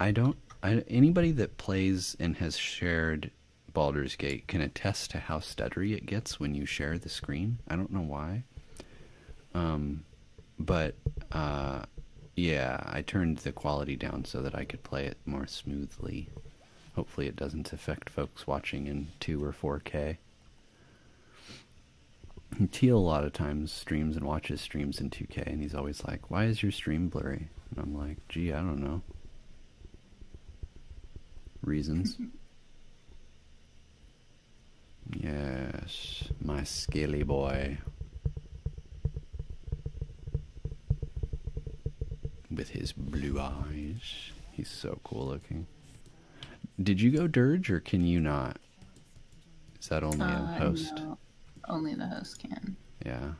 Speaker 1: I don't. anybody that plays and has shared Baldur's Gate can attest to how stuttery it gets when you share the screen. I don't know why. Um, but uh, yeah, I turned the quality down so that I could play it more smoothly hopefully it doesn't affect folks watching in 2 or 4K. Teal a lot of times streams and watches streams in 2K, and he's always like, Why is your stream blurry? And I'm like, Gee, I don't know. Reasons. yes, my skilly boy. With his blue eyes. He's so cool looking. Did you go dirge or can you not? Is that only in uh, host?
Speaker 2: Only the host can. Yeah.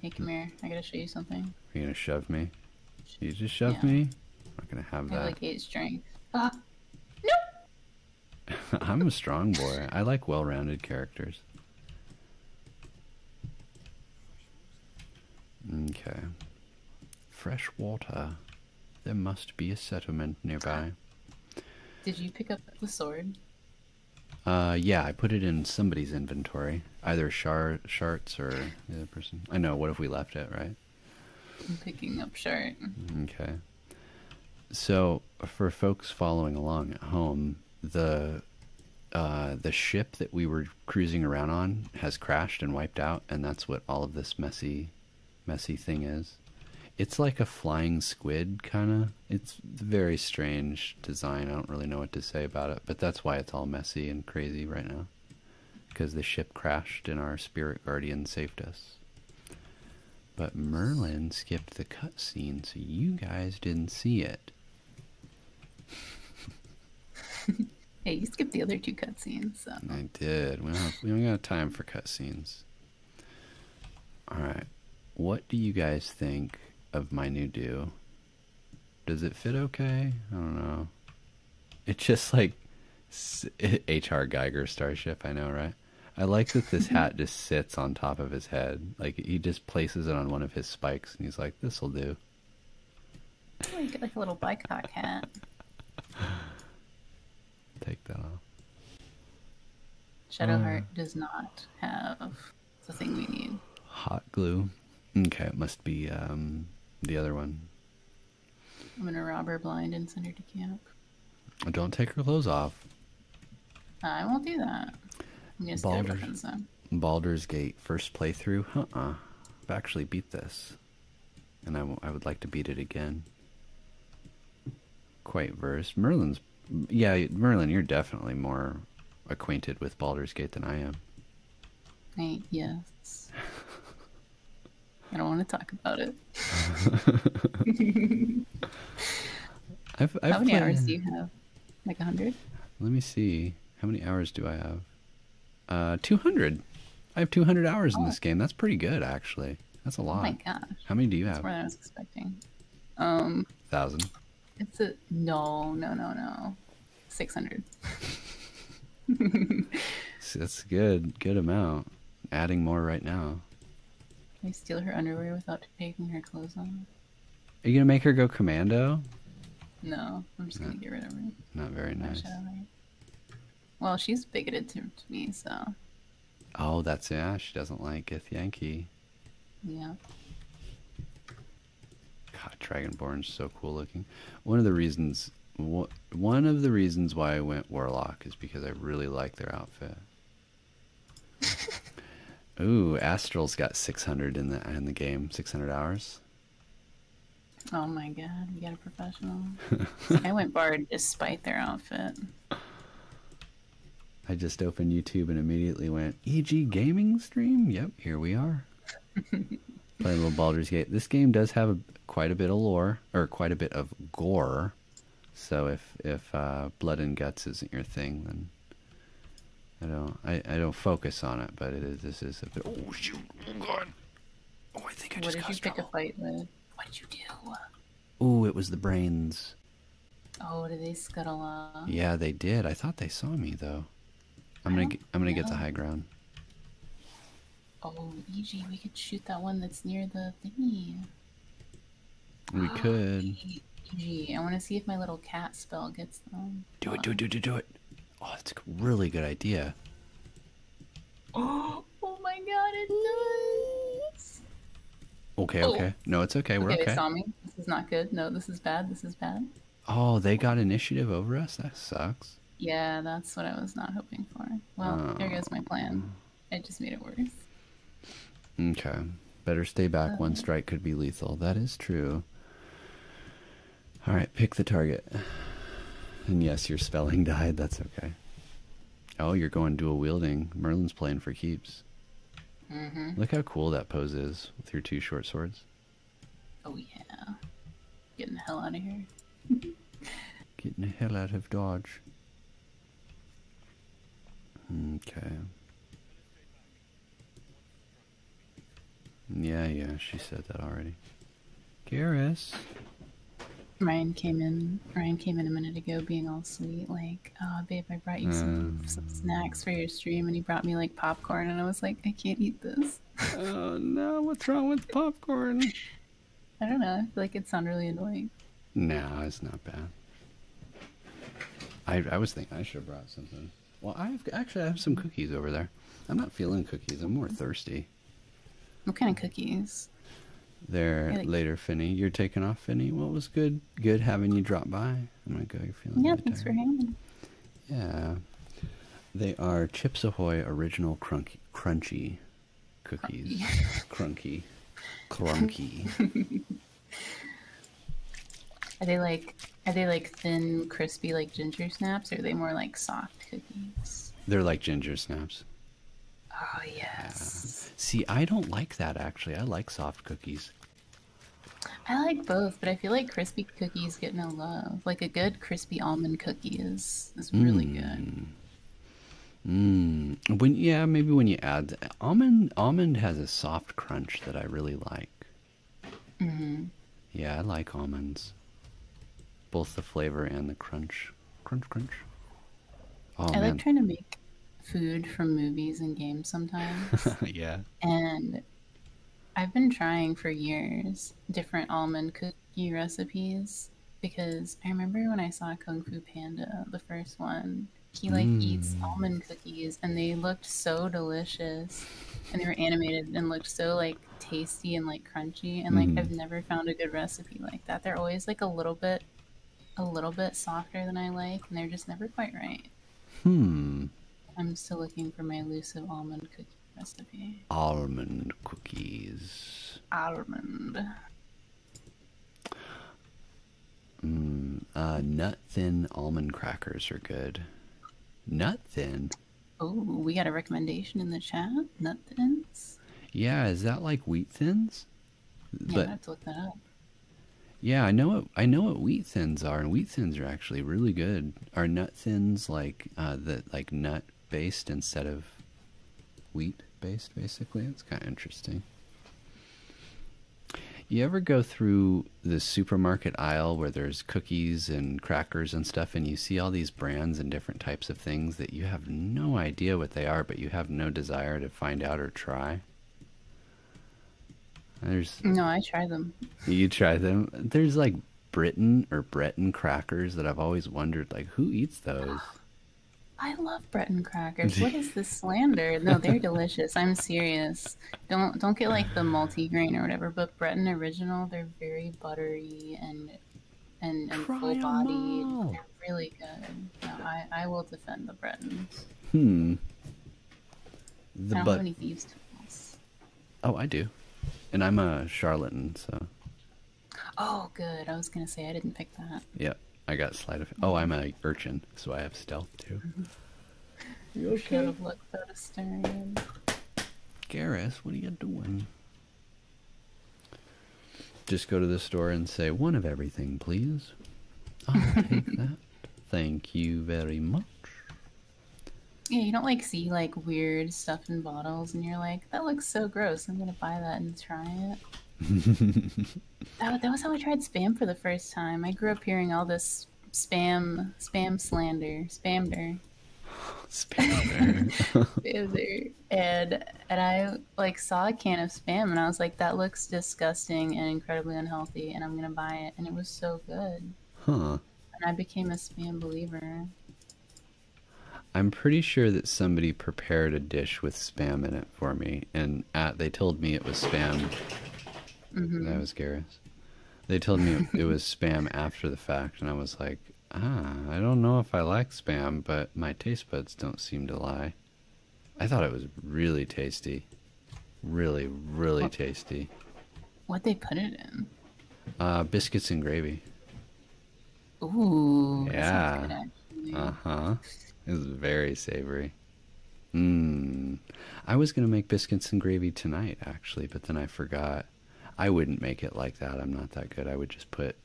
Speaker 2: Hey, come here. I gotta show you something. Are
Speaker 1: you gonna shove me? You just shove me? I'm not gonna have that. like
Speaker 2: eight strength. Ah! No!
Speaker 1: I'm a strong boy. I like well rounded characters. Okay. Fresh water. There must be a settlement nearby.
Speaker 2: Did you pick up the sword?
Speaker 1: Uh, yeah, I put it in somebody's inventory, either Shar Sharts or the other person. I know. What if we left it right?
Speaker 2: I'm picking up Shart.
Speaker 1: Okay. So for folks following along at home, the uh, the ship that we were cruising around on has crashed and wiped out, and that's what all of this messy, messy thing is. It's like a flying squid, kind of. It's very strange design. I don't really know what to say about it, but that's why it's all messy and crazy right now. Because the ship crashed and our spirit guardian saved us. But Merlin skipped the cutscene, so you guys didn't see it.
Speaker 2: hey, you skipped the other two cutscenes. I
Speaker 1: did. We don't, have, got time for cutscenes. All right. What do you guys think of my new do? Does it fit okay? I don't know. It's just like H.R. Geiger Starship, I know, right? I like that this hat just sits on top of his head. Like, he just places it on one of his spikes and he's like, this'll do.
Speaker 2: Oh, you get like a little bicock hat.
Speaker 1: Take that off. Shadowheart
Speaker 2: uh, does not have the thing we need.
Speaker 1: Hot glue. Okay, it must be um, the other one.
Speaker 2: I'm gonna rob her blind and send her to camp.
Speaker 1: Don't take her clothes off.
Speaker 2: I won't do that. I'm gonna steal her weapons
Speaker 1: Baldur's Gate first playthrough. Uh I've actually beat this. And I, I would like to beat it again. Quite versed. Merlin's. Yeah, Merlin, you're definitely more acquainted with Baldur's Gate than I am.
Speaker 2: Right, yes. I don't want to talk about it.
Speaker 1: How many hours do you have? Like 100? Let me see. How many hours do I have? Uh, 200. I have 200 hours in oh. this game. That's pretty good, actually. That's a oh lot. my God, How many do you have? That's more than I was
Speaker 2: expecting. Um, Thousand. It's a no, no, no, no. 600.
Speaker 1: That's good. Good amount. Adding more right now.
Speaker 2: Can I steal her underwear without taking her clothes off? Are
Speaker 1: you gonna make her go commando?
Speaker 2: No, I'm just gonna get rid of her.
Speaker 1: Not very nice.
Speaker 2: Well, she's bigoted to, me, so.
Speaker 1: Oh, that's yeah. She doesn't like if Yankee. Yeah. God, Dragonborn's so cool looking. One of the reasons, one of the reasons why I went Warlock is because I really like their outfit. Ooh, Astral's got 600 in the in the game, 600 hours.
Speaker 2: Oh my god, we got a professional. I went barred despite their outfit.
Speaker 1: I just opened YouTube and immediately went, EG Gaming Stream? Yep, here we are. Playing a little Baldur's Gate. This game does have quite a bit of lore, or quite a bit of gore. So if if uh, blood and guts isn't your thing, then I don't I, don't focus on it. But it is this is a bit. Oh shoot!
Speaker 2: Oh god! Oh, I think I just what did you pick a fight with? What did you do?
Speaker 1: Ooh, it was the brains.
Speaker 2: Oh, did they scuttle off? Yeah,
Speaker 1: they did. I thought they saw me though. I'm gonna get, I'm gonna get the high ground.
Speaker 2: Oh, EG, we could shoot that one that's near the thingy.
Speaker 1: We could.
Speaker 2: EG, I want to see if my little cat spell gets them.
Speaker 1: Do it, do it, do it, do it. Oh, that's a really good idea.
Speaker 2: Oh, oh my god, it's nice.
Speaker 1: Okay, oh. okay. No, it's okay. We're okay. They saw me.
Speaker 2: This is not good. No, this is bad. This is bad.
Speaker 1: Oh, they got initiative over us? That sucks.
Speaker 2: Yeah, that's what I was not hoping for. Well, oh. here goes my plan. Oh. It just made it worse.
Speaker 1: Okay. Better stay back. One strike could be lethal. That is true. All right, pick the target. And yes, your spelling died. That's okay. Oh, you're going dual wielding. Merlin's playing for keeps. Mm-hmm. Look how cool that pose is with your two short swords.
Speaker 2: Oh yeah, getting the hell out of here.
Speaker 1: getting the hell out of dodge. Okay. Yeah, yeah, she said that already. Garrus.
Speaker 2: Ryan came in. Ryan came in a minute ago, being all sweet, like, babe, I brought you um, some, snacks for your stream," and he brought me like popcorn, and I was like, "I can't eat this." oh no! What's wrong with popcorn? I don't know. I feel like it sounded really annoying.
Speaker 1: No, it's not bad. I I was thinking I should have brought something. Well, I've actually I have some cookies over there. I'm not feeling cookies. I'm more thirsty.
Speaker 2: What kind of cookies?
Speaker 1: There later, Finny. You're taking off, Finny. What was good, good having you drop by. am gonna you feeling
Speaker 2: yeah. Thanks for having.
Speaker 1: Yeah, they are Chips Ahoy original crunky, crunchy cookies. Crunchy, crunchy.
Speaker 2: are they like? Are they like thin, crispy, like ginger snaps? Or are they more like soft? cookies.
Speaker 1: They're like ginger snaps. Oh yes. Yeah. See, I don't like that actually. I like soft cookies.
Speaker 2: I like both, but I feel like crispy cookies get no love. Like a good crispy almond cookie
Speaker 1: is is really hmm. good. Mm. When yeah, maybe when you add almond almond has a soft crunch that I really like. Mm yeah, I like almonds. Both the flavor and the crunch. Crunch, crunch. Oh, I like trying
Speaker 2: to make food from movies and games sometimes. yeah. And I've been trying for years different almond cookie recipes because I remember when I saw Kung Fu Panda, the first one, he like mm. eats almond cookies and they looked so delicious and they were animated and looked so like tasty and like crunchy and like mm-hmm. I've never found a good recipe like that. They're always like a little bit a little bit softer than I like and they're just never quite right.
Speaker 1: Hmm.
Speaker 2: I'm still looking for my elusive almond cookie recipe.
Speaker 1: Almond cookies.
Speaker 2: Almond.
Speaker 1: Mm, nut thin almond crackers are good. Nut thin?
Speaker 2: Oh, we got a recommendation in the chat. Nut thins.
Speaker 1: Yeah, is that like wheat thins? Yeah, I have to look that up. Yeah, I know. What, I know what wheat thins are, and wheat thins are actually really good. Are nut thins like uh, the like nut based instead of wheat based? Basically, it's kind of interesting. You ever go through the supermarket aisle where there's cookies and crackers and stuff, and you see all these brands and different types of things that you have no idea what they are, but you have no desire to find out or try? There's
Speaker 2: no, I try them.
Speaker 1: You try them. There's like Britton or Breton crackers that I've always wondered, like who eats those?
Speaker 2: I love Breton crackers. What is this slander? No, they're delicious. I'm serious. Don't don't get like the multigrain or whatever, but Breton original, they're very buttery and and, full bodied, really good. I, I will defend the Bretons.
Speaker 1: Hmm. The
Speaker 2: I
Speaker 1: Oh, I do. And I'm a charlatan, so.
Speaker 2: Oh, good. I was going to say I didn't pick that.
Speaker 1: Yep. I got slight of. Oh, I'm a urchin, so I have stealth too. Mm-hmm.
Speaker 2: you okay? Should have looked at a stern.
Speaker 1: Garrus, what are you doing? Just go to the store and say, one of everything, please. I'll take that. Thank you very much.
Speaker 2: Yeah, you don't like see like weird stuff in bottles and you're like, that looks so gross. I'm gonna buy that and try it. that, that was how I tried spam for the first time. I grew up hearing all this spam, spam slander, spamder.
Speaker 1: spam
Speaker 2: there. and and I like saw a can of spam and I was like, that looks disgusting and incredibly unhealthy, and I'm gonna buy it. And it was so good. Huh. And I became a spam believer.
Speaker 1: I'm pretty sure that somebody prepared a dish with spam in it for me, and at they told me it was spam. Mm-hmm. That was Garrus. They told me it was spam after the fact, and I was like, ah, I don't know if I like spam, but my taste buds don't seem to lie. I thought it was really tasty. Really, really tasty.
Speaker 2: What they put it in?
Speaker 1: Uh, biscuits and gravy.
Speaker 2: Ooh. Yeah.
Speaker 1: Uh huh. It's very savory. Mmm. I was gonna make biscuits and gravy tonight, actually, but then I forgot. I wouldn't make it like that. I'm not that good. I would just put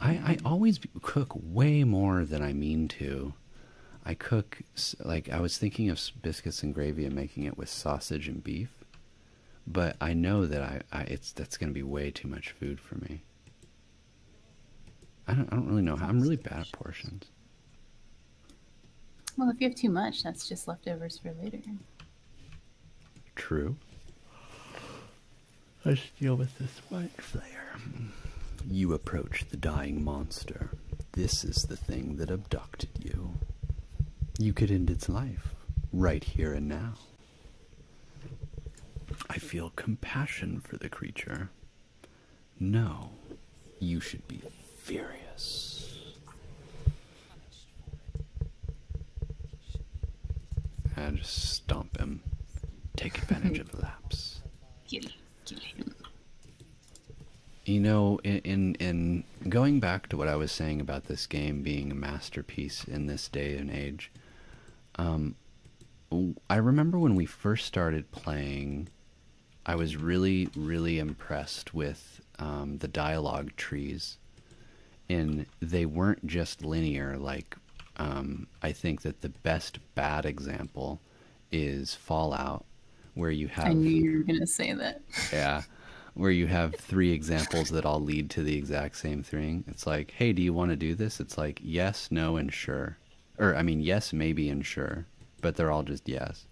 Speaker 1: I, I always cook way more than I mean to. I cook, like, I was thinking of biscuits and gravy and making it with sausage and beef, but I know that I, I it's that's going to be way too much food for me. I don't, I don't really know how. I'm really bad at portions.
Speaker 2: Well, if you have too much, that's just leftovers for later.
Speaker 1: True. I us deal with this white flare. You approach the dying monster. This is the thing that abducted you. You could end its life right here and now. I feel compassion for the creature. No, you should be furious. And just stomp him. Take advantage of the lapse. You know, in, in, going back to what I was saying about this game being a masterpiece in this day and age, um, I remember when we first started playing, I was really, really impressed with um, the dialogue trees and they weren't just linear. Like, um, I think that the best bad example is Fallout, where you have. I knew
Speaker 2: you were gonna say that.
Speaker 1: yeah, where you have three examples that all lead to the exact same thing. It's like, hey, do you want to do this? It's like yes, no, and sure, or I mean yes, maybe, and sure, but they're all just yes.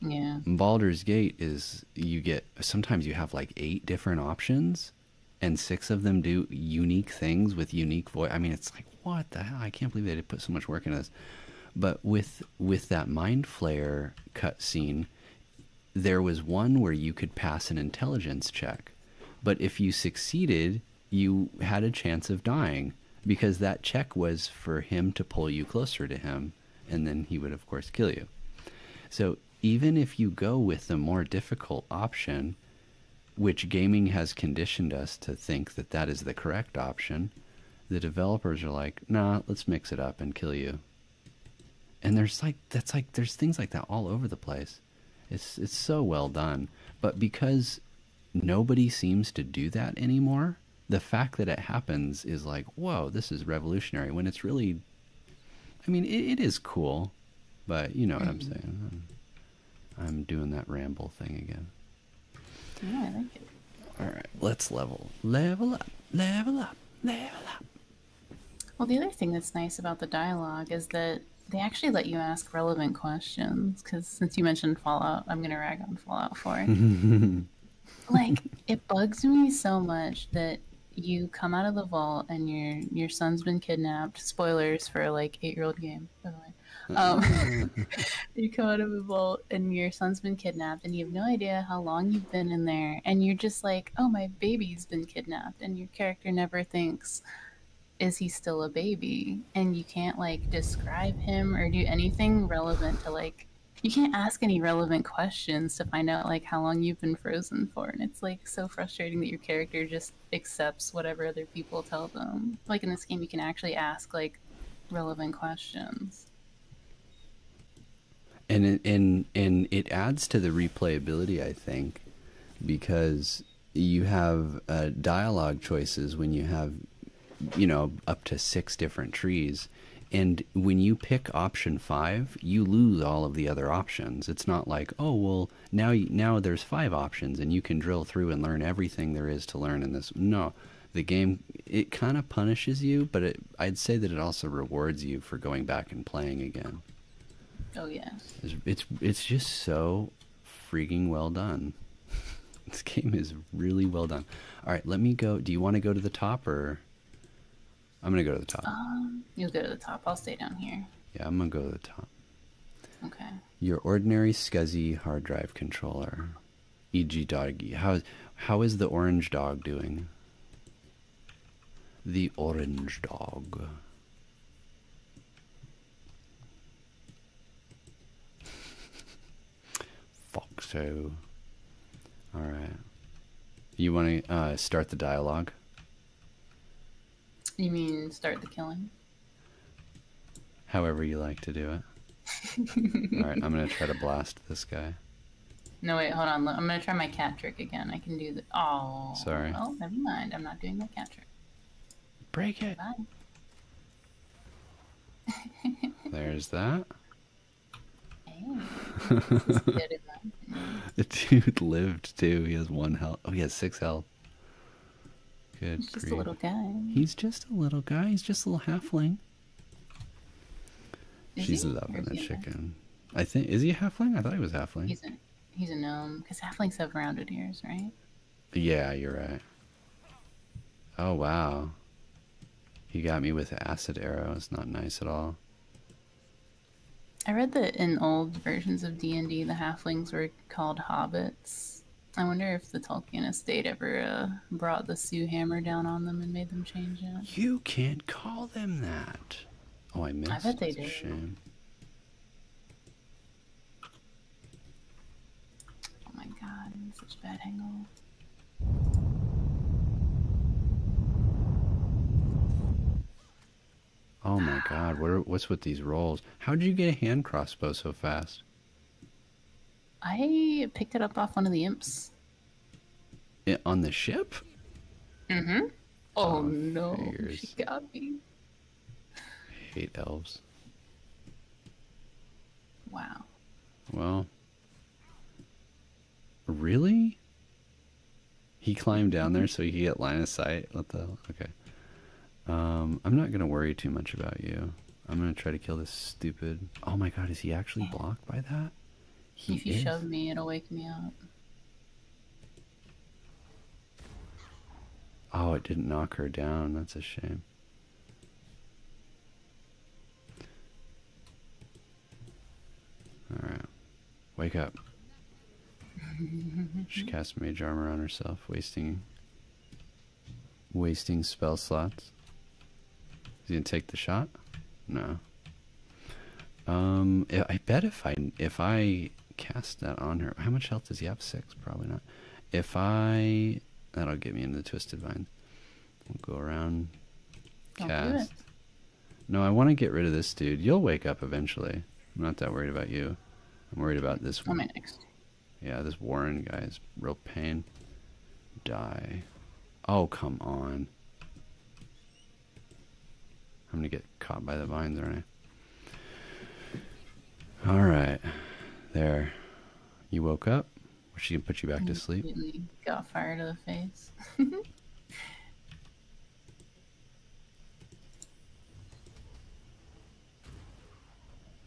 Speaker 1: Yeah. Baldur's Gate is you get sometimes you have like eight different options and six of them do unique things with unique voice. I mean, it's like what the hell? I can't believe they did put so much work in this. But with with that mind flare cutscene, there was one where you could pass an intelligence check, but if you succeeded, you had a chance of dying because that check was for him to pull you closer to him, and then he would of course kill you. So even if you go with the more difficult option, which gaming has conditioned us to think that that is the correct option, the developers are like, nah, let's mix it up and kill you. And there's like that's like there's things like that all over the place. It's it's so well done, but because nobody seems to do that anymore, the fact that it happens is like, whoa, this is revolutionary. When it's really I mean, it is cool, but you know what I'm mm-hmm. saying. I'm, doing that ramble thing again.
Speaker 2: Yeah, I like it.
Speaker 1: All right, let's level, level up, level up,
Speaker 2: level up. Well, the other thing that's nice about the dialogue is that they actually let you ask relevant questions. Because since you mentioned Fallout, I'm gonna rag on Fallout Four. like, it bugs me so much that you come out of the vault and your your son's been kidnapped. Spoilers for like eight year old game, by the way. Mm-hmm. Um, you come out of the vault and your son's been kidnapped, and you have no idea how long you've been in there, and you're just like, "Oh, my baby's been kidnapped," and your character never thinks, "Is he still a baby?" And you can't like describe him or do anything relevant to like. You can't ask any relevant questions to find out like how long you've been frozen for, and it's like so frustrating that your character just accepts whatever other people tell them. Like in this game, you can actually ask like relevant questions.
Speaker 1: And it, and and it adds to the replayability, I think, because you have uh, dialogue choices when you have, you know, up to six different trees, and when you pick option five you lose all of the other options. It's not like, oh, well, now you, now there's five options and you can drill through and learn everything there is to learn in this. No, the game it kind of punishes you, but it, I'd say that it also rewards you for going back and playing again. Oh yeah. it's, it's just so freaking well done. this game is really well done. All right, let me go. Do you want to go to the top or? I'm gonna go to the top.
Speaker 2: Um, you'll go to the top. I'll stay down here.
Speaker 1: Yeah, I'm gonna go to the top. Okay. Your ordinary SCSI hard drive controller, e.g., doggy. How how is the orange dog doing? The orange dog. Foxo. All right. You want to uh, start the dialogue?
Speaker 2: You mean start the killing?
Speaker 1: However you like to do it. Alright, I'm gonna try to blast this guy.
Speaker 2: No, wait, hold on. I'm gonna try my cat trick again. I can do the. Oh. Sorry. Oh, never mind. I'm not doing my cat trick.
Speaker 1: Break it. There's that. Hey. The dude lived too. He has one health. Oh, he has six health. Good. He's just a little guy. He's just a little guy. He's just a little halfling. She's he? loving the chicken. I think is he a halfling? I thought he was halfling. He's
Speaker 2: a he's a gnome because halflings have rounded ears, right?
Speaker 1: Yeah, you're right. Oh wow. He got me with acid arrows. Not nice at all.
Speaker 2: I read that in old versions of D and D, the halflings were called hobbits. I wonder if the Tolkien estate ever uh, brought the Sue hammer down on them and made them change it.
Speaker 1: You can't call
Speaker 2: them that.
Speaker 1: Oh, I missed. I bet they did.
Speaker 2: Oh my god, such bad hangover.
Speaker 1: Oh my god, what's with these rolls? How did you get a hand crossbow so fast?
Speaker 2: I picked it up off one of the imps.
Speaker 1: on the ship?
Speaker 2: Mm-hmm. Oh, no, she got me.
Speaker 1: I hate elves. Wow. Well. Really? He climbed down there so he could get line of sight. What the Okay. Um, I'm not going to worry too much about you. I'm going to try to kill this stupid... Oh my god, is he actually blocked by that? He if you is. me,
Speaker 2: it'll wake me up.
Speaker 1: Oh, it didn't knock her down. That's a shame. Alright. Wake up. she casts mage armor on herself, wasting wasting spell slots. Is he gonna take the shot? No. Um, I bet if I if I cast that on her, how much health does he have? Six, probably not. If I that'll get me into the twisted vine. We'll go around. Don't cast. No, I want to get rid of this dude. You'll wake up eventually. I'm not that worried about you. I'm worried about this one. next. Yeah, this Warren guy is real pain. Die. Oh, come on. I'm going to get caught by the vines, aren't I? All right. There. You woke up? Or she can put you back to sleep?
Speaker 2: Got fired in the face.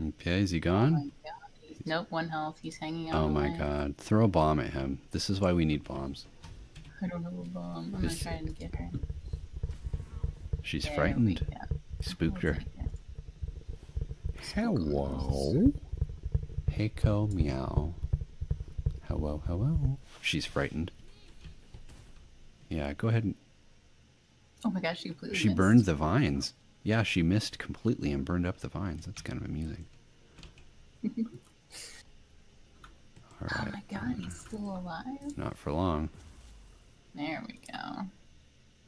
Speaker 1: Okay, is he gone? Oh
Speaker 2: nope, one health. He's hanging out. Oh my god.
Speaker 1: Throw a bomb at him. This is why we need bombs.
Speaker 2: I don't have a bomb. I'm Just... gonna get her.
Speaker 1: She's frightened. Spooked her. Hello. Heiko meow. Hello, hello. She's frightened. Yeah, go ahead and.
Speaker 2: Oh my gosh, she
Speaker 1: burned the vines. Yeah, she missed completely and burned up the vines. That's kind of amusing. Oh my
Speaker 2: god, he's still alive. Not for long. There we go.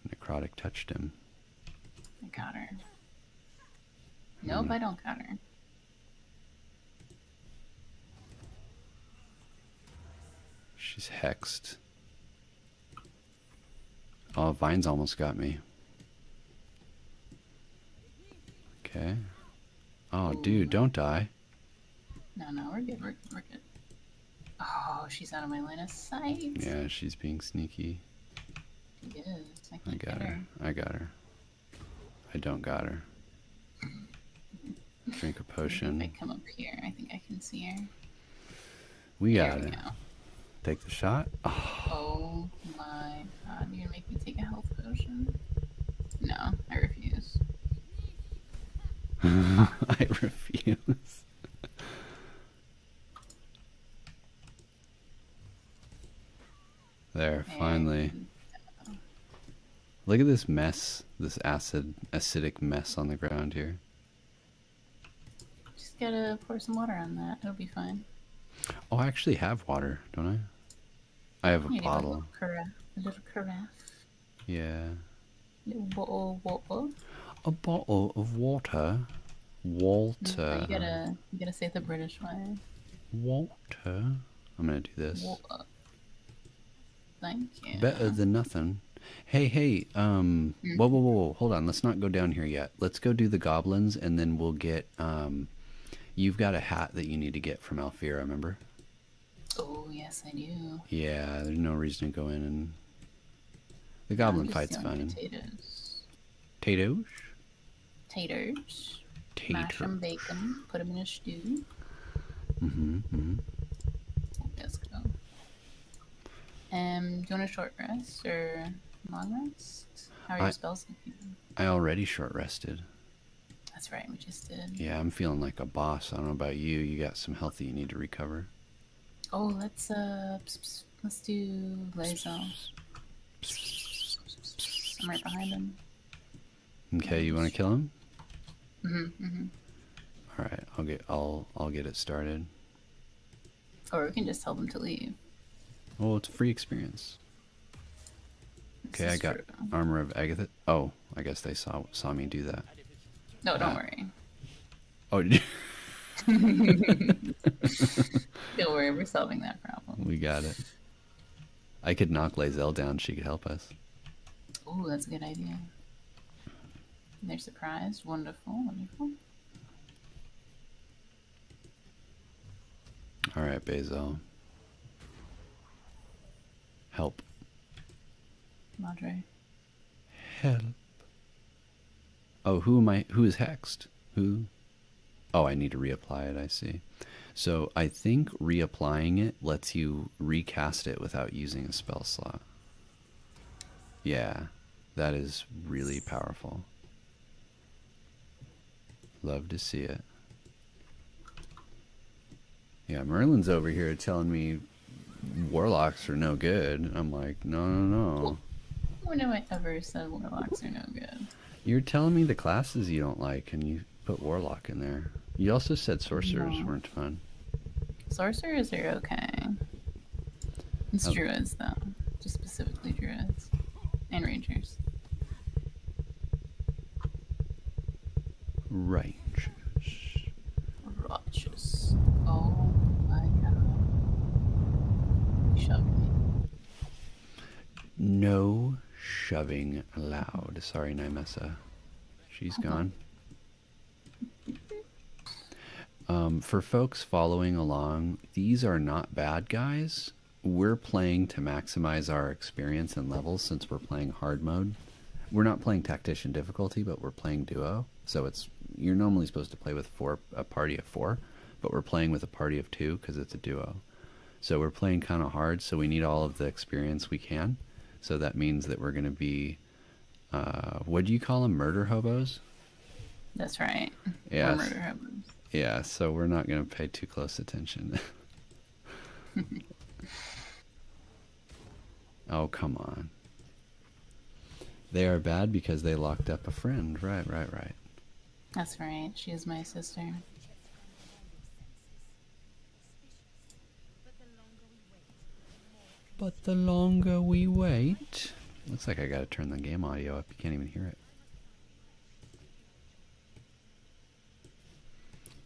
Speaker 1: Necrotic touched him.
Speaker 2: I got her. Hmm. Nope, I don't got her.
Speaker 1: She's hexed. Oh, Vines almost got me. Okay. Oh, dude, don't die.
Speaker 2: No, no, we're good, we're good, we're good. Oh, she's out of my line of sight. Yeah,
Speaker 1: she's being sneaky.
Speaker 2: She I, got her.
Speaker 1: I got her. I don't got her. Drink a potion. I come
Speaker 2: up here, I think I can see her.
Speaker 1: We got there it. We Take the shot.
Speaker 2: Oh. my god, you're gonna make me take a health potion? No, I refuse.
Speaker 1: I refuse. there, finally. Look at this mess, this acid, acidic mess on the ground here.
Speaker 2: Just gotta pour some water on that. It'll be fine.
Speaker 1: Oh, I actually have water, don't I? I have a bottle.
Speaker 2: A little, a Yeah. A bottle
Speaker 1: of water. Walter. Mm, you gotta,
Speaker 2: you gotta say the British way.
Speaker 1: Walter. I'm gonna do this. Better than nothing. Hey, hey, um, hmm. whoa, whoa, whoa, hold on. Let's not go down here yet. Let's go do the goblins, and then we'll get, um, you've got a hat that you need to get from Alfira, remember?
Speaker 2: Oh, yes, I do.
Speaker 1: Yeah, there's no reason to go in and, the goblin fight's fun.
Speaker 2: Potatoes. Potatoes? Taters.
Speaker 1: Taters. Mash them,
Speaker 2: bake put them in a stew.
Speaker 1: Mm-hmm. mm-hmm.
Speaker 2: Let's go. Um, do you want a short rest or long rest? How are your spells
Speaker 1: I already short rested.
Speaker 2: That's right, we just did. Yeah, I'm
Speaker 1: feeling like a boss. I don't know about you. You got some health you need to recover.
Speaker 2: Oh, let's uh, let's do Lazo. I'm right behind them.
Speaker 1: Okay, you want to kill him? hmm alright right, I'll get I'll I'll get it started.
Speaker 2: Or we can just tell them to leave.
Speaker 1: Well, it's a free experience. okay, I got armor of Agatha. Oh, I guess they saw saw me do that.
Speaker 2: No, don't ah. worry.
Speaker 1: Oh. don't worry, we're solving that problem. We got it. I could knock Lazelle down. She could help us.
Speaker 2: Oh, that's a good idea. They're surprised. Wonderful, wonderful.
Speaker 1: All right, Basil. Help. Madre. Help. Oh, who am I? Who is hexed? Who? Oh, I need to reapply it. I see. So I think reapplying it it lets you recast it without using a spell slot. Yeah, that is really powerful. Love to see it. Yeah, Merlin's over here telling me warlocks are no good. I'm like, no, no, no.
Speaker 2: When have I ever said warlocks are no good?
Speaker 1: You're telling me the classes you don't like, and you put warlock in there. You also said sorcerers weren't fun.
Speaker 2: Sorcerers are okay.
Speaker 1: It's druids
Speaker 2: though, just specifically druids and rangers. Rangers. Righteous. Oh my god.
Speaker 1: Shove No shoving allowed. Sorry, Nymessa. She's uh-huh. gone. Um, for folks following along, these are not bad guys. We're playing to maximize our experience and levels since we're playing hard mode. We're not playing tactician difficulty, but we're playing duo. So it's you're normally supposed to play with four a party of four, but we're playing with a party of two because it's a duo. So we're playing kind of hard, so we need all of the experience we can. So that means that we're going to be uh, what do you call them? Murder hobos?
Speaker 2: That's right. Yeah.
Speaker 1: Yeah, so we're not going to pay too close attention. oh, come on. They are bad because they locked up a friend. Right, right, right.
Speaker 2: That's right. She is my sister.
Speaker 1: But the longer we wait... Looks like I gotta turn the game audio up. You can't even hear it.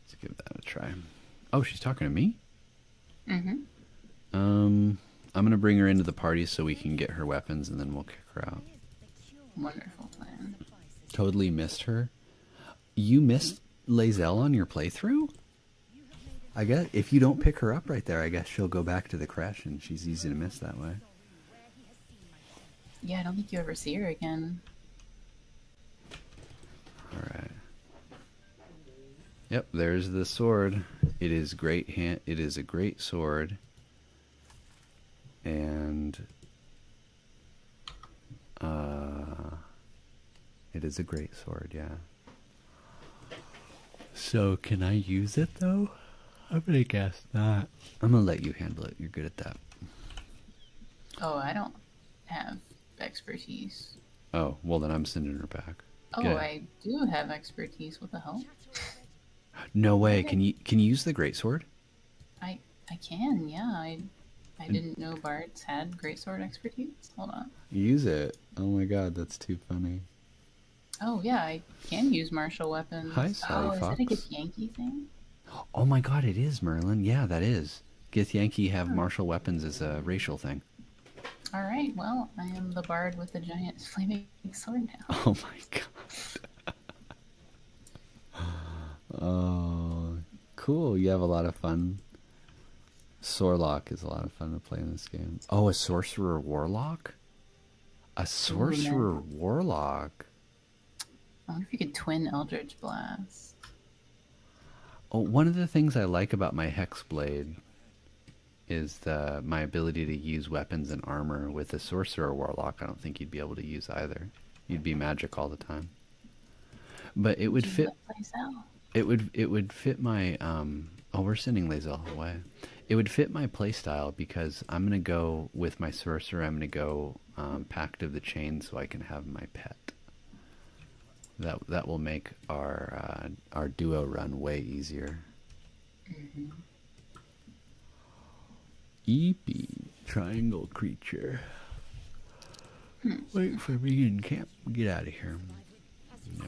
Speaker 1: Let's give that a try. Oh, she's talking to me? Mm-hmm. Um, I'm gonna bring her into the party so we can get her weapons and then we'll kick her out.
Speaker 2: Wonderful plan.
Speaker 1: Totally missed her. You missed Lazelle on your playthrough? I guess if you don't pick her up right there, I guess she'll go back to the crash and she's easy to miss that way.
Speaker 2: Yeah, I don't think you ever see her again.
Speaker 1: Alright. Yep, there's the sword. It is great hand it is a great sword. And uh it is a great sword, yeah. So, can I use it though? I'm gonna guess not. I'm gonna let you handle it. You're good at that.
Speaker 2: Oh, I don't have expertise.
Speaker 1: Oh, well, then I'm sending her back. Oh, I
Speaker 2: do have expertise with the help.
Speaker 1: No way. Can you can you use the greatsword?
Speaker 2: I I can. Yeah. I I didn't know Bart's had greatsword expertise. Hold on.
Speaker 1: Use it. Oh my god, that's too funny.
Speaker 2: Oh yeah, I can use martial weapons. Hi, Sally oh, Fox. is that a Githyanki thing?
Speaker 1: Oh my god, it is, Merlin. Yeah, that is. Githyanki have martial weapons as a racial thing.
Speaker 2: All right, well, I am the bard with the giant flaming sword
Speaker 1: now. Oh my god. oh, cool. You have a lot of fun. Sorlock is a lot of fun to play in this game. Oh, a sorcerer warlock? A sorcerer warlock?
Speaker 2: I wonder if you could twin Eldritch Blast.
Speaker 1: Oh, one of the things I like about my hex blade is the my ability to use weapons and armor with a sorcerer warlock. I don't think you'd be able to use either. You'd be magic all the time. But it would fit fit. It would it would fit my um. Oh, we're sending Lazel away. It would fit my playstyle because I'm gonna go with my sorcerer. I'm gonna go um, packed of the Chain so I can have my pet. That that will make our uh, our duo run way easier. Mm triangle creature. Hmm. Wait for me in camp. Get out of here. Yeah.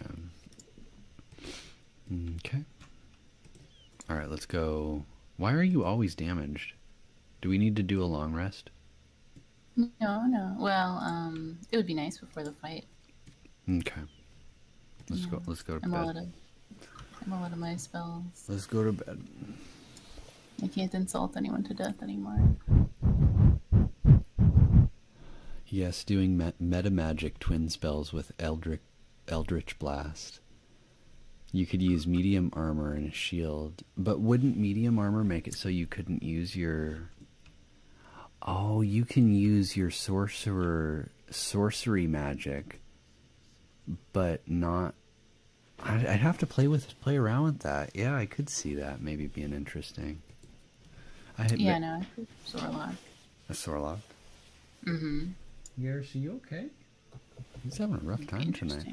Speaker 1: Okay. All right, let's go. Why are you always damaged? Do we need to do a long rest?
Speaker 2: No, no. Well, um, it would be nice before the fight.
Speaker 1: Okay. Let's go. Let's go to I'm bed. All
Speaker 2: I'm out of my spells.
Speaker 1: Let's go to bed.
Speaker 2: I can't insult anyone to death anymore.
Speaker 1: Yes, doing meta magic twin spells with Eldric, Eldritch Blast. You could use medium armor and a shield, but wouldn't medium armor make it so you couldn't use your? Oh, you can use your sorcerer sorcery magic, but not. I'd, I'd have to play with play around with that. Yeah, I could see that maybe being interesting. I had yeah, I Sorlock. A Sorlock. Mm-hmm. Yeah, are you okay? He's having a rough time tonight.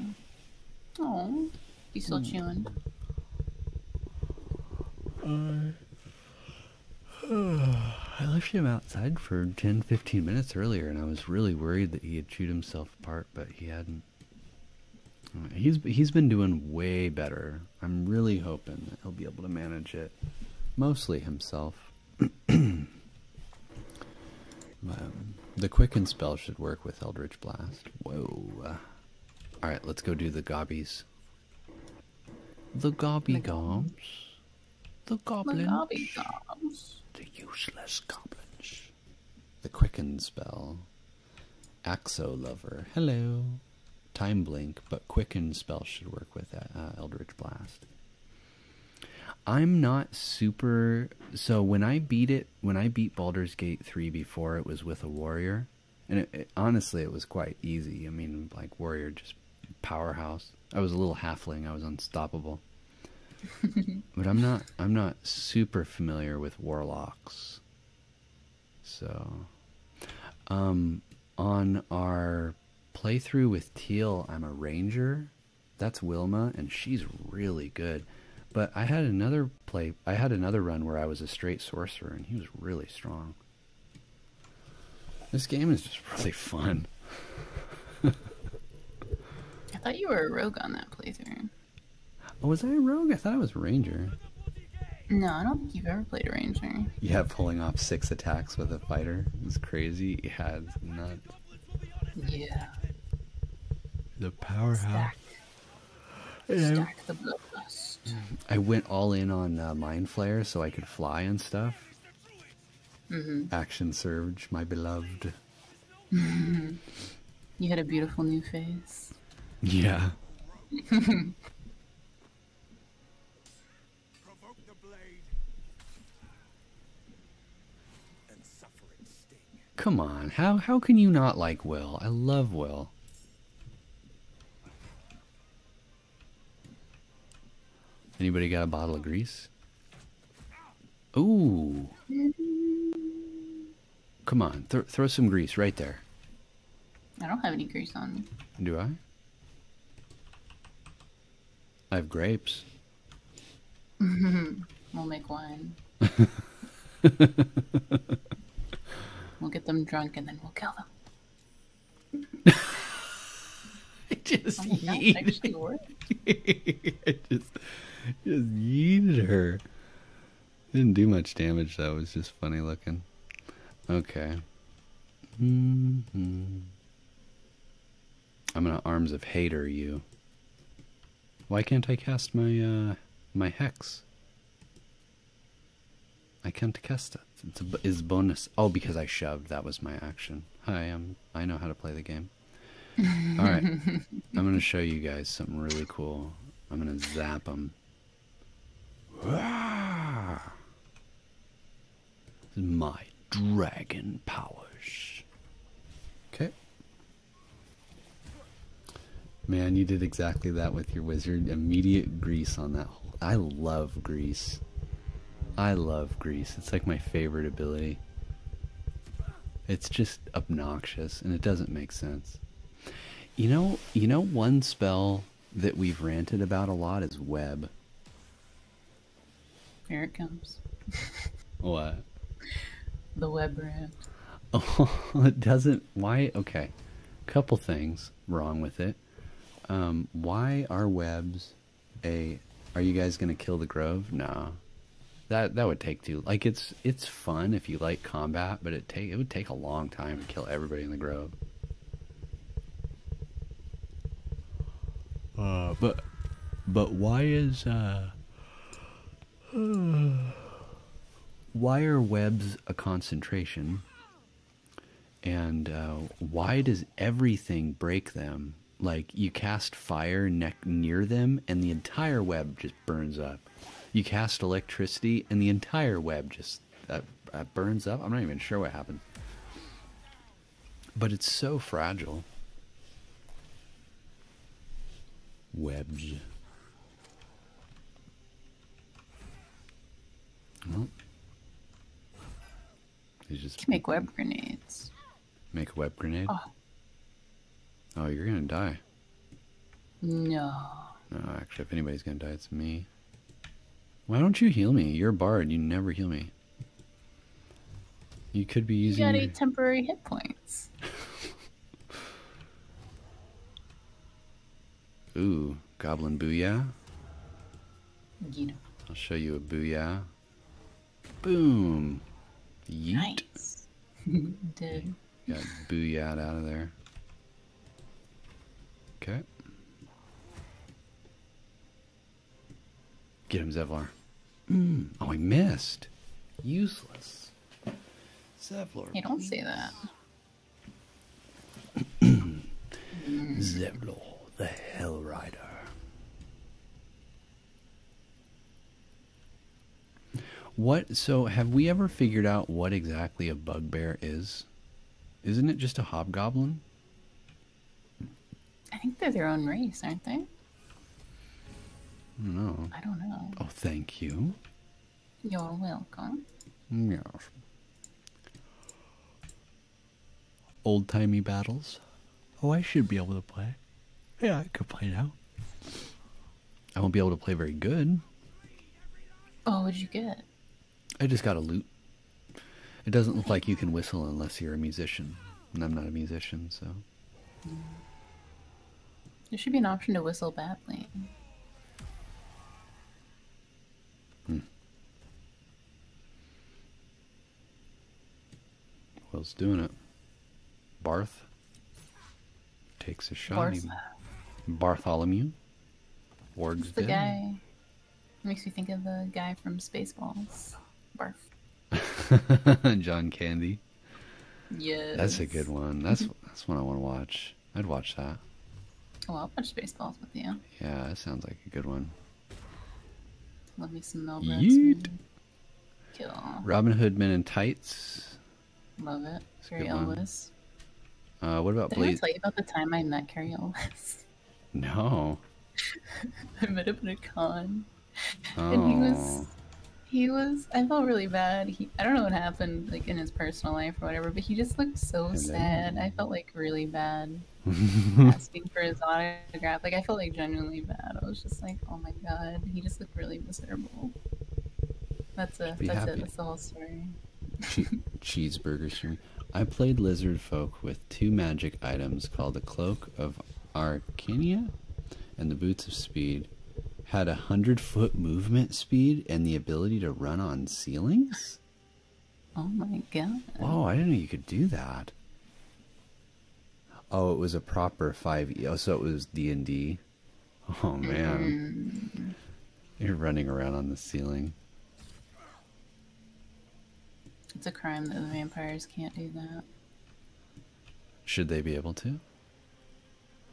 Speaker 2: Oh, he's still hmm. chewing.
Speaker 1: I left him outside for 10, 15 minutes earlier, and I was really worried that he had chewed himself apart, but he hadn't. Uh, he's he's been doing way better I'm really hoping that he'll be able to manage it mostly himself. Um, the Quicken spell should work with Eldritch Blast. Whoa. Alright, let's go do the gobbies. The gobby gobs. The goblins. The The useless goblins. The Quicken spell Axo Lover. Hello. Time Blink, but Quicken spell should work with uh, uh, Eldritch Blast. I'm not super. So when I beat it, when I beat Baldur's Gate 3 before, it was with a warrior. And honestly, it was quite easy. I mean, like, warrior just powerhouse. I was a little halfling, I was unstoppable. but I'm not I'm not super familiar with warlocks. So, um, on our playthrough with Teal, I'm a ranger. That's Wilma, and she's really good. But I had another play. I had another run where I was a straight sorcerer, and he was really strong. This game is just really fun. I
Speaker 2: thought you were a rogue on that playthrough.
Speaker 1: Oh, was I a rogue? I thought I was ranger.
Speaker 2: No, I don't think you've ever played a ranger.
Speaker 1: Yeah, pulling off six attacks with a fighter is crazy. Yeah, it's nuts. Yeah. The powerhouse.
Speaker 2: Stack, the bloodlust. Mm-hmm.
Speaker 1: I went all in on uh, Mind Flare so I could fly and stuff. Mm-hmm. Action Surge, my beloved.
Speaker 2: you had a beautiful new face.
Speaker 1: Yeah. Come on, how how can you not like Will? I love Will. Anybody got a bottle of grease? Ooh. Come on, th throw some grease right there.
Speaker 2: I don't have any grease on me.
Speaker 1: Do I? I have grapes.
Speaker 2: we'll make wine. we'll get them drunk and then we'll kill them. I just oh yeeted. I
Speaker 1: just, just yeeted her. Didn't do much damage though. It was just funny looking. Okay. Mm-hmm. I'm gonna arms of hater you. Why can't I cast my uh my hex? I can't cast it. It's, a, bonus. Oh, because I shoved. That was my action. Hi, I'm. I know how to play the game. All right, I'm gonna show you guys something really cool. I'm gonna zap them. My dragon powers. Okay. Man, you did exactly that with your wizard. Immediate grease on that I love grease. I love grease. It's like my favorite ability. It's just obnoxious and it doesn't make sense. You know, you know one spell that we've ranted about a lot is web.
Speaker 2: Here it comes.
Speaker 1: what?
Speaker 2: The web rant.
Speaker 1: Oh, it doesn't. Why? Okay. Couple things wrong with it. Um, why are webs a. Are you guys going to kill the Grove? Nah. That, that would take too. Like it's it's fun if you like combat, but it take it would take a long time to kill everybody in the grove. Uh, but but why is uh, why are webs a concentration? And uh, why does everything break them? Like you cast fire near them, and the entire web just burns up. You cast electricity, and the entire web just that burns up. I'm not even sure what happened. But it's so fragile. Webs. Well, you just
Speaker 2: make web grenades.
Speaker 1: Make a web grenade? Oh, oh you're going to die. No. No, actually, if anybody's going to die, it's me. Why don't you heal me? You're a bard. You never heal me. You could be using. You got eight
Speaker 2: temporary hit points.
Speaker 1: Ooh, goblin booyah. I'll show you a booyah. Boom. Yeet. Nice.
Speaker 2: Dude. Got
Speaker 1: booyahed out of there. Okay. Get him, Zevlor. Hmm. Oh, I missed. Useless. Zevlar. You don't say that. Zevlor, the Hell Rider. What? So, have we ever figured out what exactly a bugbear is? Isn't it just a hobgoblin?
Speaker 2: I think they're their own race, aren't they?
Speaker 1: No. I don't know. Oh, thank you.
Speaker 2: You're welcome.
Speaker 1: Yes. Old timey battles. Oh, I should be able to play. Yeah, I could play now. I won't be able to play very good.
Speaker 2: Oh, what'd you get?
Speaker 1: I just got a lute. It doesn't look like you can whistle unless you're a musician, and I'm not a musician, so.
Speaker 2: There should be an option to whistle badly. Hmm.
Speaker 1: doing it? Barth takes a shot. Bartholomew. Wargs the guy
Speaker 2: Makes me think of the guy from Spaceballs. Barf.
Speaker 1: John Candy. Yeah. That's a good one. That's that's one I want to watch. I'd watch that.
Speaker 2: Oh, I'll watch Spaceballs with you.
Speaker 1: Yeah, that sounds like a good one.
Speaker 2: Love me some Mel Brooks. Kill. Robin
Speaker 1: Hood Men in Tights.
Speaker 2: Love it. That's Carrie Elwes.
Speaker 1: Uh, what about Did I
Speaker 2: tell you about the time I met Carrie Elwes?
Speaker 1: No.
Speaker 2: I met him at a con.
Speaker 1: And he was oh.
Speaker 2: he was I felt really bad. He I don't know what happened like in his personal life or whatever, but he just looked so sad. I felt like really bad
Speaker 1: asking
Speaker 2: for his autograph. Like I felt like genuinely bad. I was just like, "Oh my god, he just looked really miserable." That's a that's happy. it. That's the whole story.
Speaker 1: cheeseburger, sir. I played lizard folk with two magic items called the Cloak of Arcania and the Boots of Speed. Had a hundred foot movement speed and the ability to run on ceilings?
Speaker 2: Oh my god.
Speaker 1: Oh, I didn't know you could do that. Oh, it was a proper 5e. Oh, so it was D&D. Oh man. Mm-hmm. You're running around on the ceiling.
Speaker 2: It's a crime that the vampires can't do that.
Speaker 1: Should they be able to?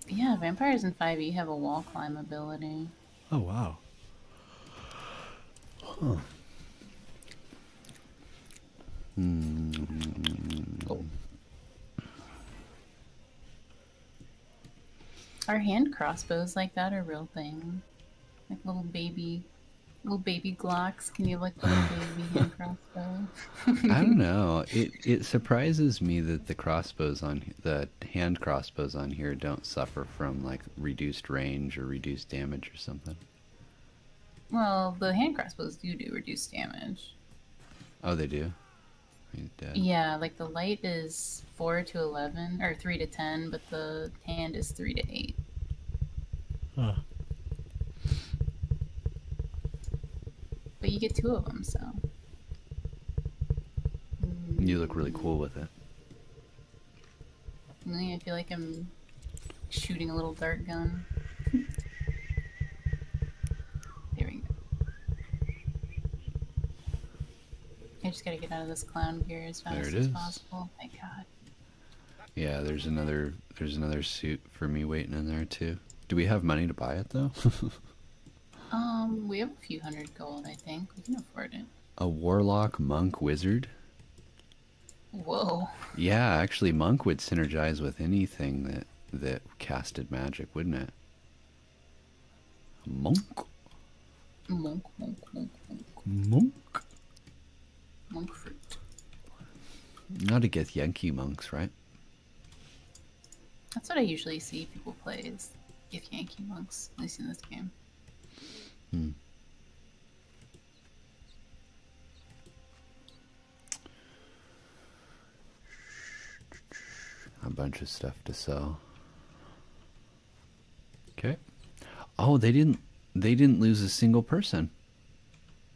Speaker 2: Yeah, vampires in 5e have a wall climb ability.
Speaker 1: Oh, wow. Huh.
Speaker 2: -hmm. oh. Are hand crossbows like that a real thing? Like little baby, little baby Glocks. Can you like little baby hand crossbow?
Speaker 1: I don't know. It it surprises me that the crossbows on the hand crossbows on here don't suffer from like reduced range or reduced damage or something.
Speaker 2: Well, the hand crossbows do do reduced damage.
Speaker 1: Oh, they do. Yeah,
Speaker 2: like the light is four to eleven or three to ten, but the hand is three to eight. Huh. But you get two of them, so.
Speaker 1: You look really cool with it.
Speaker 2: I feel like I'm shooting a little dart gun. there we go. I just gotta get out of this clown gear as fast as possible. Oh my god.
Speaker 1: Yeah, there's another there's another suit for me waiting in there too. Do we have money to buy it though?
Speaker 2: um, we have a few hundred gold, I think. We can afford it.
Speaker 1: A warlock monk wizard? Whoa. Yeah, actually monk would synergize with anything that that casted magic, wouldn't it? Monk?
Speaker 2: Monk, monk, monk, monk. Monk? Monk fruit.
Speaker 1: Not against Yankee monks, right?
Speaker 2: That's what I usually see people play is if Yankee monks, at least in this game. Hmm.
Speaker 1: A bunch of stuff to sell. Okay. Oh, they didn't. They didn't lose a single person.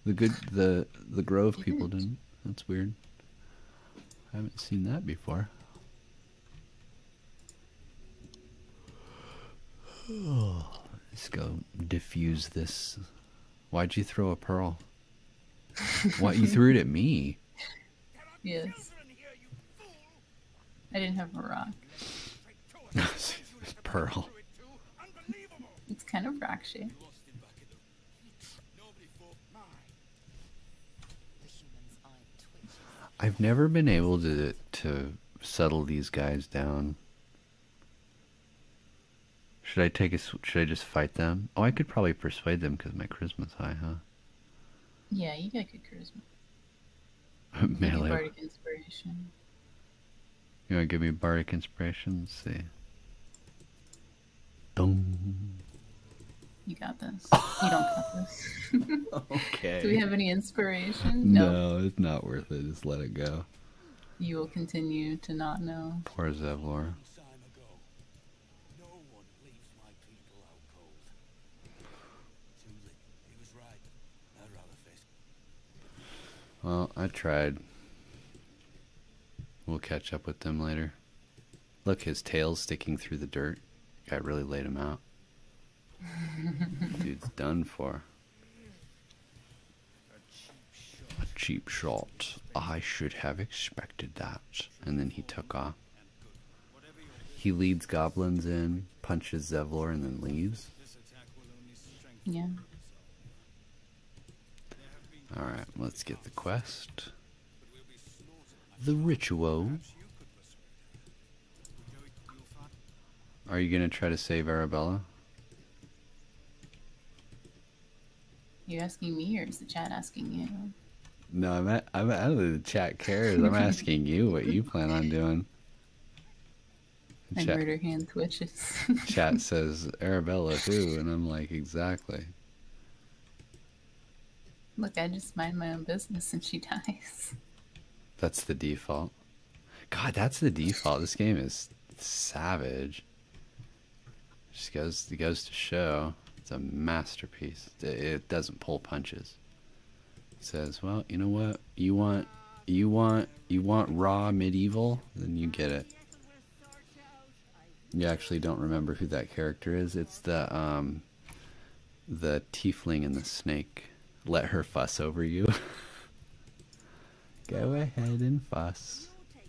Speaker 1: The good the the Grove people didn't. That's weird. I haven't seen that before. Oh, let's go diffuse this. Why'd you throw a pearl? Why you threw it at me?
Speaker 2: Yes. I didn't have a rock.
Speaker 1: Pearl.
Speaker 2: It's kind of rock shaped.
Speaker 1: I've never been able to to settle these guys down. Should I take a? Should I just fight them? Oh, I could probably persuade them because my charisma's high, huh?
Speaker 2: Yeah, you got good charisma.
Speaker 1: Melee. Bardic
Speaker 2: inspiration.
Speaker 1: You want to give me bardic inspiration? let see.
Speaker 2: Boom. You got this. you don't got
Speaker 1: this. okay. Do we have any
Speaker 2: inspiration? No.
Speaker 1: no. it's not worth it. Just let it go.
Speaker 2: You will continue to not know.
Speaker 1: Poor Zevlor. Well, I tried. We'll catch up with them later. Look, his tail's sticking through the dirt. I really laid him out. Dude's done for. A cheap shot. I should have expected that. And then he took off. He leads goblins in punches Zevlor and then leaves. Yeah. Alright, let's get the quest. The ritual. Are you going to try to save Arabella?
Speaker 2: You're asking me, or is the chat asking you?
Speaker 1: No, I'm at, I'm out of the chat cares. I'm asking you what you plan on doing. My chat, murder
Speaker 2: hand twitches.
Speaker 1: chat says Arabella too, and I'm like, exactly.
Speaker 2: Look, I just mind my own business and she dies.
Speaker 1: That's the default. God, that's the default. This game is savage. It just goes goes to show it's a masterpiece. it doesn't pull punches says, well, you know what? You want, you want, you want raw medieval? Then you get it. You actually don't remember who that character is. It's the, um, the tiefling and the snake. Let her fuss over you. Go ahead and fuss. Hmm,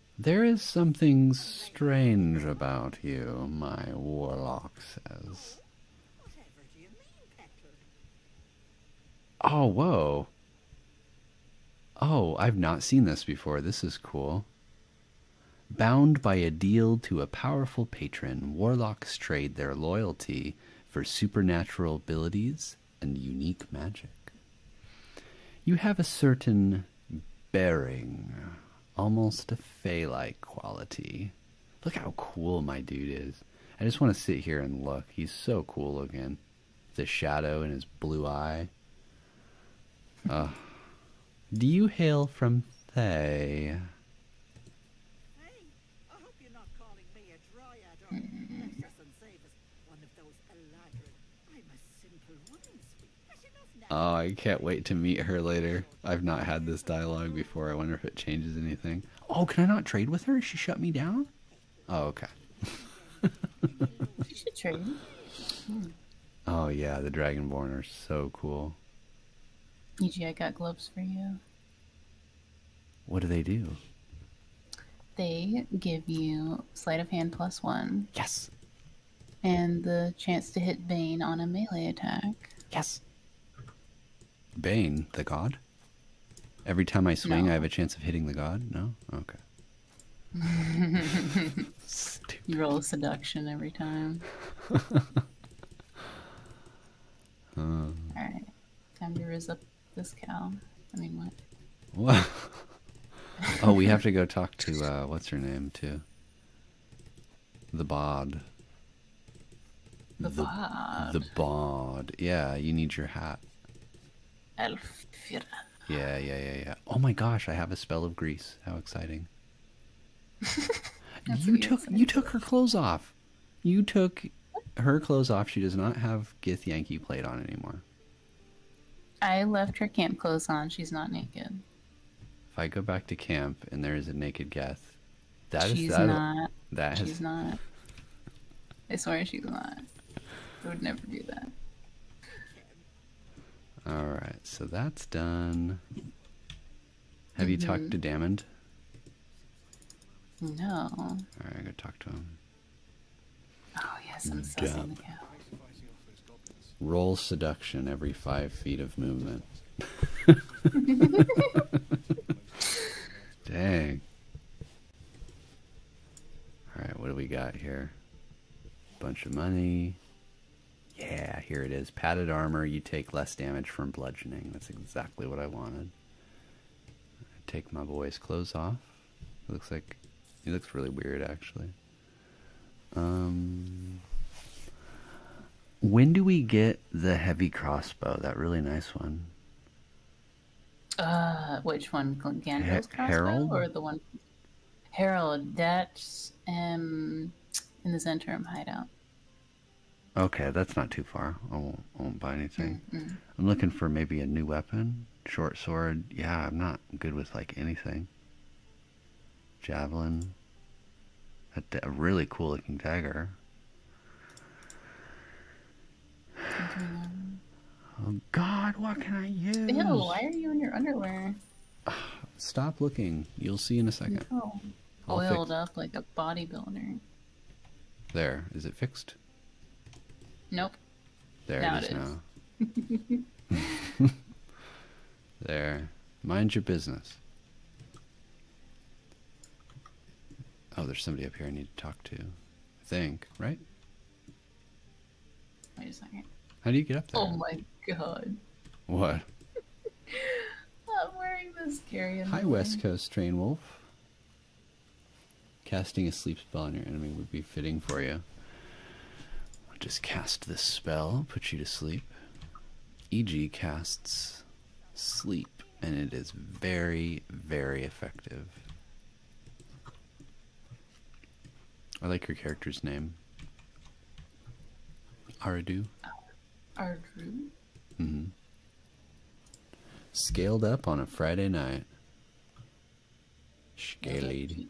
Speaker 1: There is something strange about you, my warlock says. Oh, whoa. Oh, I've not seen this before. This is cool. Bound by a deal to a powerful patron, warlocks trade their loyalty for supernatural abilities and unique magic. You have a certain bearing, almost a fey like quality. Look how cool my dude is. I just want to sit here and look. He's so cool looking. The shadow in his blue eye. do you hail from Thay? Oh, I can't wait to meet her later. I've not had this dialogue before. I wonder if it changes anything. Oh, can I not trade with her? She shut me down? Oh, okay. you should trade. Oh, yeah, the Dragonborn are so cool.
Speaker 2: EG, I got gloves for you.
Speaker 1: What do they do?
Speaker 2: They give you sleight of hand plus one. Yes. And the chance to hit Bane on a melee attack.
Speaker 1: Yes. Bane, the god? Every time I swing, I have a chance of hitting the god? No? Okay.
Speaker 2: you roll seduction every time. Uh. Alright. Time to raise up this cow. I mean, what?
Speaker 1: oh, we have to go talk to uh, what's her name too. The bod.
Speaker 2: The, bod. The
Speaker 1: bod. Yeah, you need your hat.
Speaker 2: Elfira.
Speaker 1: Yeah, yeah, yeah, yeah. Oh my gosh, I have a spell of grease. How exciting! you took exciting. you took her clothes off. You took her clothes off. She does not have Gith Yankee plate on anymore.
Speaker 2: I left her camp clothes on. She's not naked.
Speaker 1: If I go back to camp and there is a naked guest, that is Not, that she's
Speaker 2: not. I swear she's not. I would never do that.
Speaker 1: All right, so that's done. Have you talked mm-hmm. to Damond? No. All right, I go talk to him.
Speaker 2: Oh yes, I'm sussing
Speaker 1: the cow. Roll seduction every five feet of movement. Dang. Alright, what do we got here? A Bunch of money. Yeah, here it is. Padded armor, you take less damage from bludgeoning. That's exactly what I wanted. take my boy's clothes off. It looks like he looks really weird actually. Um, when do we get the heavy crossbow? That really nice one.
Speaker 2: Uh, which one? Gandalf's crossbow Harold? or the one? Harold. That's um, in the Zentrum hideout.
Speaker 1: Okay, that's not too far. I won't, buy anything. I'm looking for maybe a new weapon short sword. Yeah, I'm not good with like anything. Javelin. A, really cool looking dagger. Oh God, what can I use? Ew, why are
Speaker 2: you in your underwear?
Speaker 1: Stop looking. You'll see in a second.
Speaker 2: No. Oiled up like a bodybuilder.
Speaker 1: There. Is it fixed?
Speaker 2: Nope. There now it
Speaker 1: is, now. there. Mind your business. Oh, there's somebody up here I need to talk to. I think, right? Wait a second. How do you get up there?
Speaker 2: Oh my god. What? I'm wearing this carrion. Hi, West
Speaker 1: Coast Train Wolf. Casting a sleep sleep spell on your enemy would be fitting for you. just cast this spell, put you to sleep. EG casts sleep, and it is very, very effective. I like your character's name. Aradu.
Speaker 2: Aradu. hmm
Speaker 1: Scaled up on a Friday night. Scaled.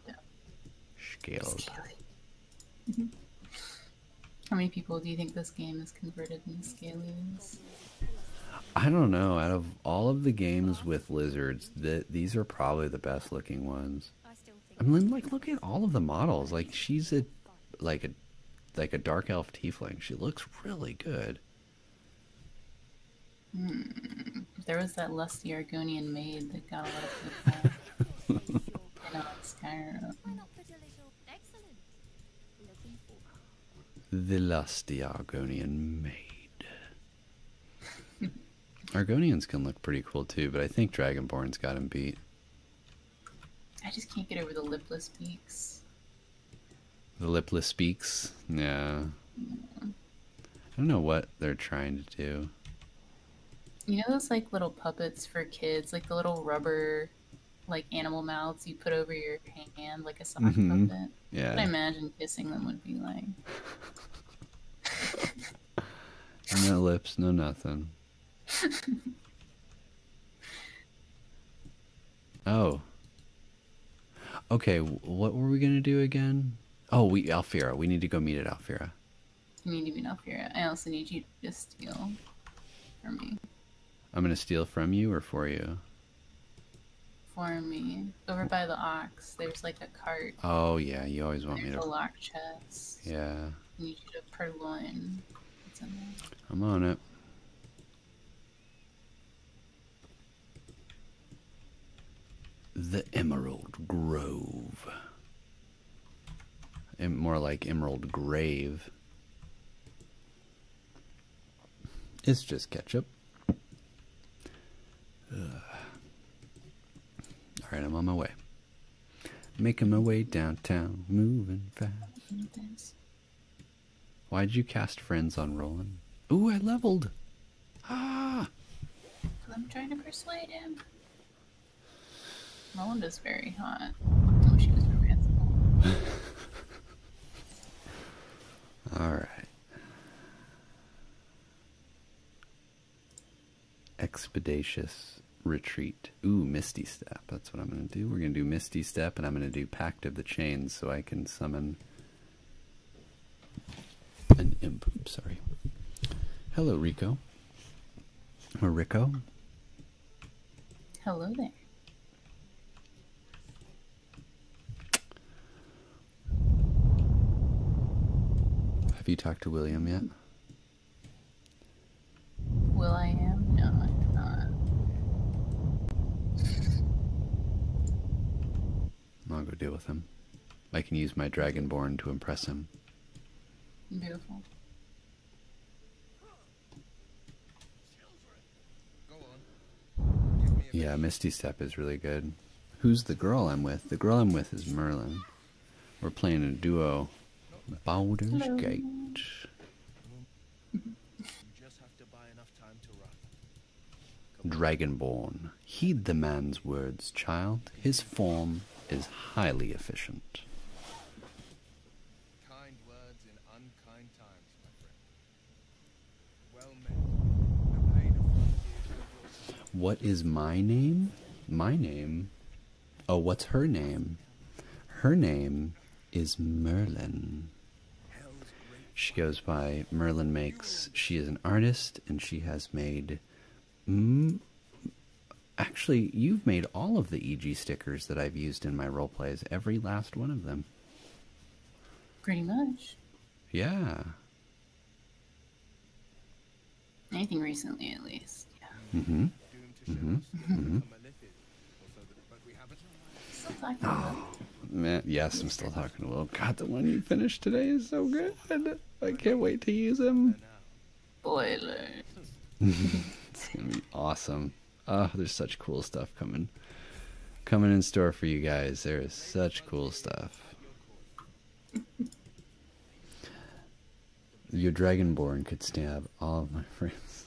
Speaker 1: Scaled.
Speaker 2: How many people do you think this game is converted in scaled?
Speaker 1: I don't know. Out of all of the games with lizards, that these are probably the best looking ones. I mean, like, look at all of the models. Like, she's a, like a, like a dark elf tiefling. She looks really good.
Speaker 2: Hmm. There was that lusty Argonian maid that got a lot of people. you know, Skyrim.
Speaker 1: The lusty Argonian maid. Argonians can look pretty cool too, but I think Dragonborn's got him beat.
Speaker 2: I just can't get over the lipless beaks.
Speaker 1: The lipless beaks? Yeah. yeah. I don't know what they're trying to do.
Speaker 2: You know those like little puppets for kids, like the little rubber, like animal mouths you put over your hand, like a sock mm-hmm. puppet. Yeah. I imagine kissing them would be like.
Speaker 1: no lips, no nothing. oh. Okay, what were we gonna do again? Oh, we Alfira. We need to go meet at Alfira.
Speaker 2: I need you to be up here. I also need you to just steal from me.
Speaker 1: I'm gonna steal from you or for you?
Speaker 2: For me. Over by the ox, there's like a cart. Oh yeah, you always want me to. a lock chest. Yeah. I need you to purloin. What's
Speaker 1: I'm on it. The Emerald Grove more like emerald grave. It's just ketchup. All right, I'm on my way. Making my way downtown, moving
Speaker 2: fast.
Speaker 1: Why'd you cast friends on Roland? Ooh, I leveled.
Speaker 2: Ah! I'm trying to persuade him. Melinda's very hot. Oh, she was romanceable.
Speaker 1: All right. Expeditious retreat. Ooh, Misty Step. That's what I'm going to do. We're going to do Misty Step, and I'm going to do Pact of the Chains so I can summon an imp. Sorry. Hello, Rico. Rico. Hello there. Have you talked to William yet?
Speaker 2: Will I am? No, I have
Speaker 1: not. I'll go deal with him. I can use my dragonborn to impress him. Beautiful. Yeah, Misty Step is really good. Who's the girl I'm with? The girl I'm with is Merlin. We're playing a duo. Boulder's Gate. Dragonborn. Heed the man's words, child. His form is highly efficient. What is my name? My name? Oh, what's her name? Her name is Merlin. She goes by Merlin Makes. She is an artist and she has made Mm, actually, you've made all of the EG stickers that I've used in my role plays, every last one of them.
Speaker 2: Pretty much. Yeah. Anything recently, at least.
Speaker 1: Yeah. Mm-hmm. Mm-hmm. mm-hmm. Oh, man, yes, I'm still talking to Will. God, the one you finished today is so good. I can't wait to use him.
Speaker 2: Spoiler.
Speaker 1: it's gonna be awesome. Oh, there's such cool stuff coming, coming in store for you guys. There is such cool stuff. Your dragonborn could stab all of my friends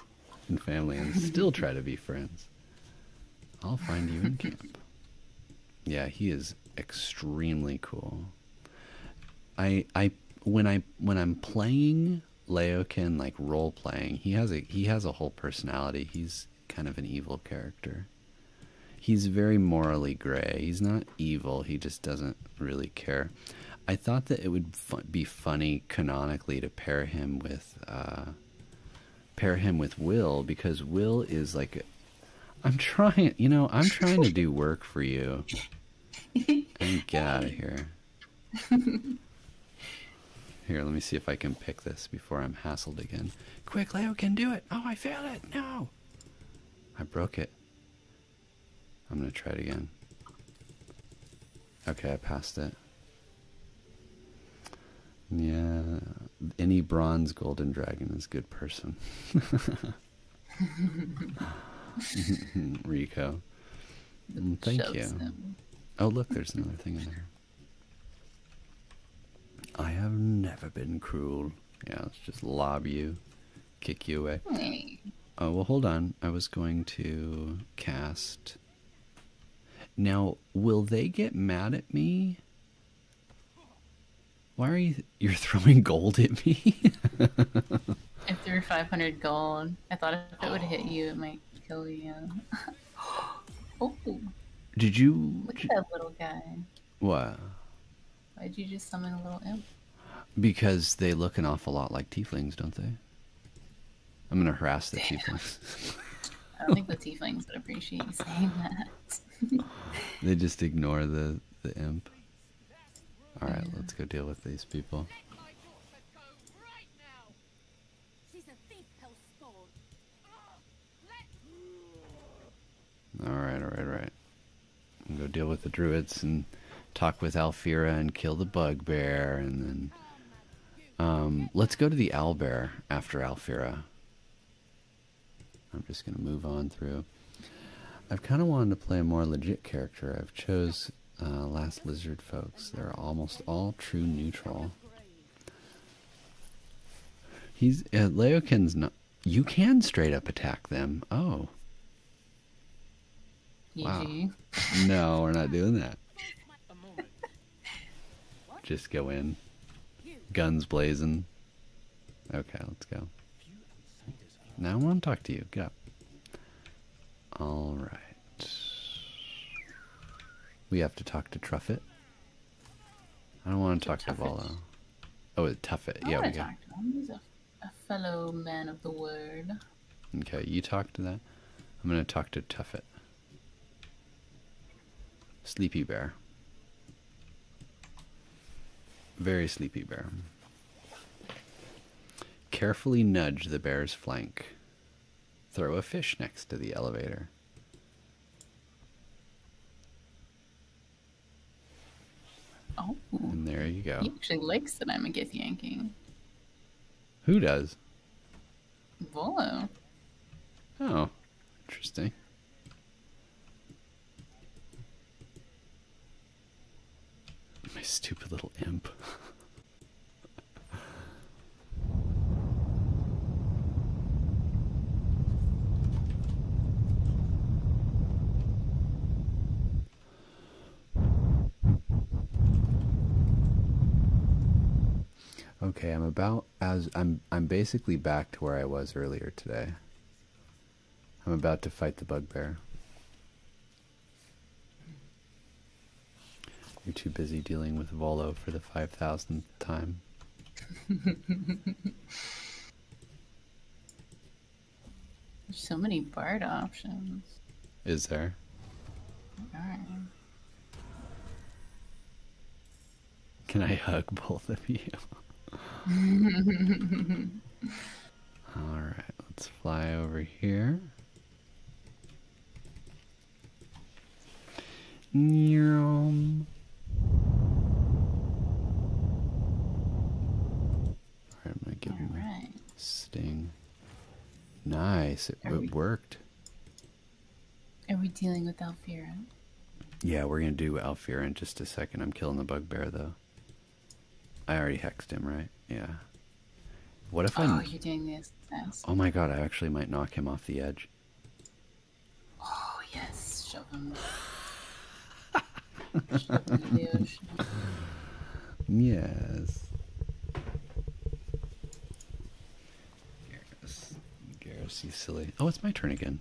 Speaker 1: and family and still try to be friends. I'll find you in camp. Yeah, he is extremely cool. I I when I when I'm playing Laokin like role playing, he has a he has a whole personality. He's kind of an evil character. He's very morally gray. He's not evil. He just doesn't really care. I thought that it would be funny canonically to pair him with uh, pair him with Will because Will is like I'm trying, you know, I'm trying to do work for you and get out of here. here, let me see if I can pick this before I'm hassled again. Quick, Leo can do it. Oh, I failed it. No. I broke it. I'm going to try it again. Okay, I passed it. Yeah, any bronze golden dragon is good person. Rico. Mm, thank you. Oh, look, there's another thing in there. I have never been cruel. Yeah, let's just lob you, kick you away. Oh, well, hold on. I was going to cast. Now, will they get mad at me? Why are you. You're throwing gold at me? I
Speaker 2: threw 500 gold. I thought if it would hit you, it might kill you. oh.
Speaker 1: Did you. Look at that little guy. What?
Speaker 2: Why'd you just summon a little imp?
Speaker 1: Because they look an awful lot like tieflings, don't they? I'm gonna harass the Damn. tieflings.
Speaker 2: I don't think the tieflings would appreciate you saying that.
Speaker 1: they just ignore the the imp. Alright, let's go deal with these people. Alright, alright, alright. Go deal with the druids and talk with Alphira and kill the bugbear and then um, let's go to the owl bear after Alphira. I'm just gonna move on through. I've kind of wanted to play a more legit character. I've chose uh, Last Lizard folks. They're almost all true neutral. He's uh, Leokin's not. You can straight up attack them. Oh. Wow. no, we're not doing that. Just go in. Guns blazing. Okay, let's go. Now I want to talk to you. Get up. All right. We have to talk to Truffet. I don't want to, talk to Volo. Oh, it's Tuffet. I yeah, we got.
Speaker 2: He's a, fellow man of the word.
Speaker 1: Okay, you talk to that. I'm gonna talk to Truffet. Sleepy bear. Very sleepy bear. Carefully nudge the bear's flank. Throw a fish next to the elevator. Oh. And there you go. He
Speaker 2: actually likes that I'm a gith yanking. Who does? Volo.
Speaker 1: Oh, interesting. My stupid little imp. okay, I'm about as I'm I'm basically back to where I was earlier today. I'm about to fight the bugbear. You're too busy dealing with Volo for the 5,000th time. There's
Speaker 2: so many bard options.
Speaker 1: Is there? Can I hug both of you? Alright, let's fly over here. Neom. Alright, I'm gonna give him sting. Nice, it, it we, worked.
Speaker 2: Are we dealing with Alfira?
Speaker 1: Yeah, we're gonna do Alfira in just a second. I'm killing the bugbear though. I already hexed him, right? Yeah. What if I? Oh, I'm... you're
Speaker 2: doing this. Test. Oh my god!
Speaker 1: I actually might knock him off the edge.
Speaker 2: Oh yes, shove him.
Speaker 1: shove him the ocean. Yes. Garrus, Garrus, you silly. Oh, it's my turn again.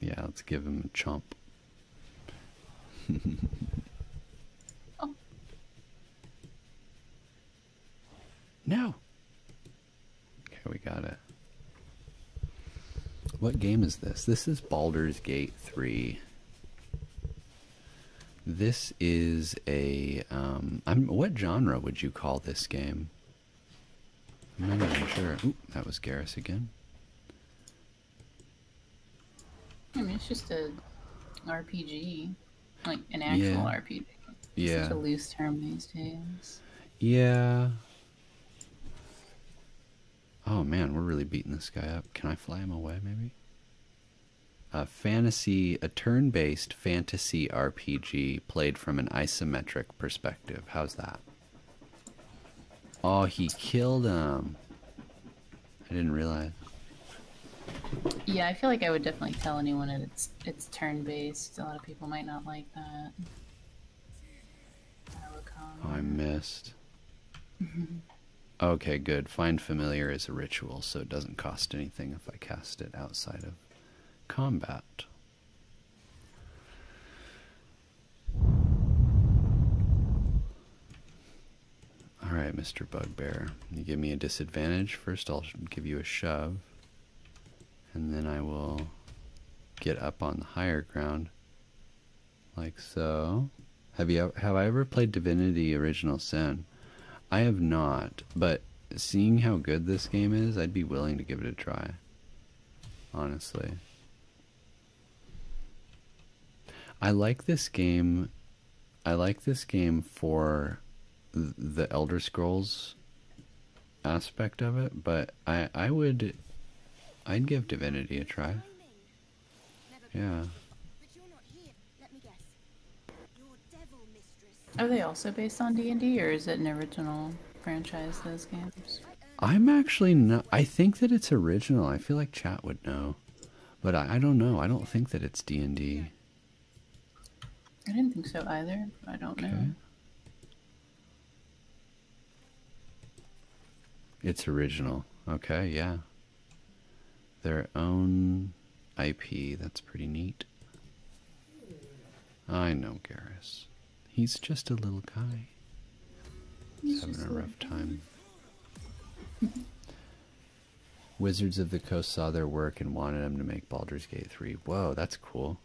Speaker 1: Yeah, let's give him a chomp oh. No. Okay, we got it. What game is this? This is Baldur's Gate 3. This is a um what genre would you call this game? I'm not even sure. Ooh, that was Garrus again.
Speaker 2: I mean, it's just a RPG, like an actual RPG. It's yeah. a loose term these days.
Speaker 1: Yeah. Oh man, we're really beating this guy up. Can I fly him away, maybe? A uh, fantasy, a turn-based fantasy RPG played from an isometric perspective. How's that? Oh, he killed him. I didn't realize.
Speaker 2: Yeah, I feel like I would definitely tell anyone that it's turn based. A lot of people might not like that.
Speaker 1: Oh, I missed. okay, good. Find familiar is a ritual, so it doesn't cost anything if I cast it outside of combat. All right, Mr. Bugbear, you give me a disadvantage. First, I'll give you a shove, and then I will get up on the higher ground, like so. Have you have I ever played Divinity: Original Sin? I have not, but seeing how good this game is, I'd be willing to give it a try. Honestly. I like this game. I like this game for the Elder Scrolls aspect of it, but I I would I'd give Divinity a try. Yeah.
Speaker 2: Are they also based on D and D, or is it an original franchise? Those games.
Speaker 1: I'm actually not. I think that it's original. I feel like chat would know, but I, don't know. I don't think that it's D and D.
Speaker 2: I didn't think so either. I don't know.
Speaker 1: It's original. Okay, yeah. Their own IP. That's pretty neat. I know Garrus. He's just a little guy. He's having a rough time. Wizards of the Coast saw their work and wanted them to make Baldur's Gate 3. Whoa, that's cool.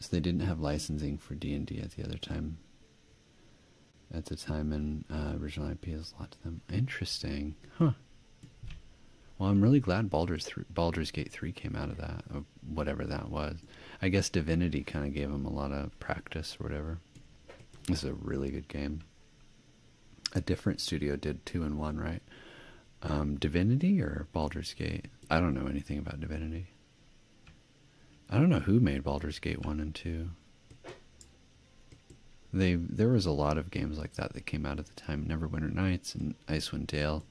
Speaker 1: So they didn't have licensing for D&D at the other time. At the time, and uh, original IP is a lot to them. Interesting. Huh. Well, I'm really glad Baldur's, Baldur's Gate 3 came out of that, oh, whatever that was. I guess Divinity kind of gave him a lot of practice or whatever. This is a really good game. A different studio did two and one, right? Um, Divinity or Baldur's Gate? I don't know anything about Divinity. I don't know who made Baldur's Gate 1 and 2. They there was a lot of games like that that came out at the time, Neverwinter Nights and Icewind Dale.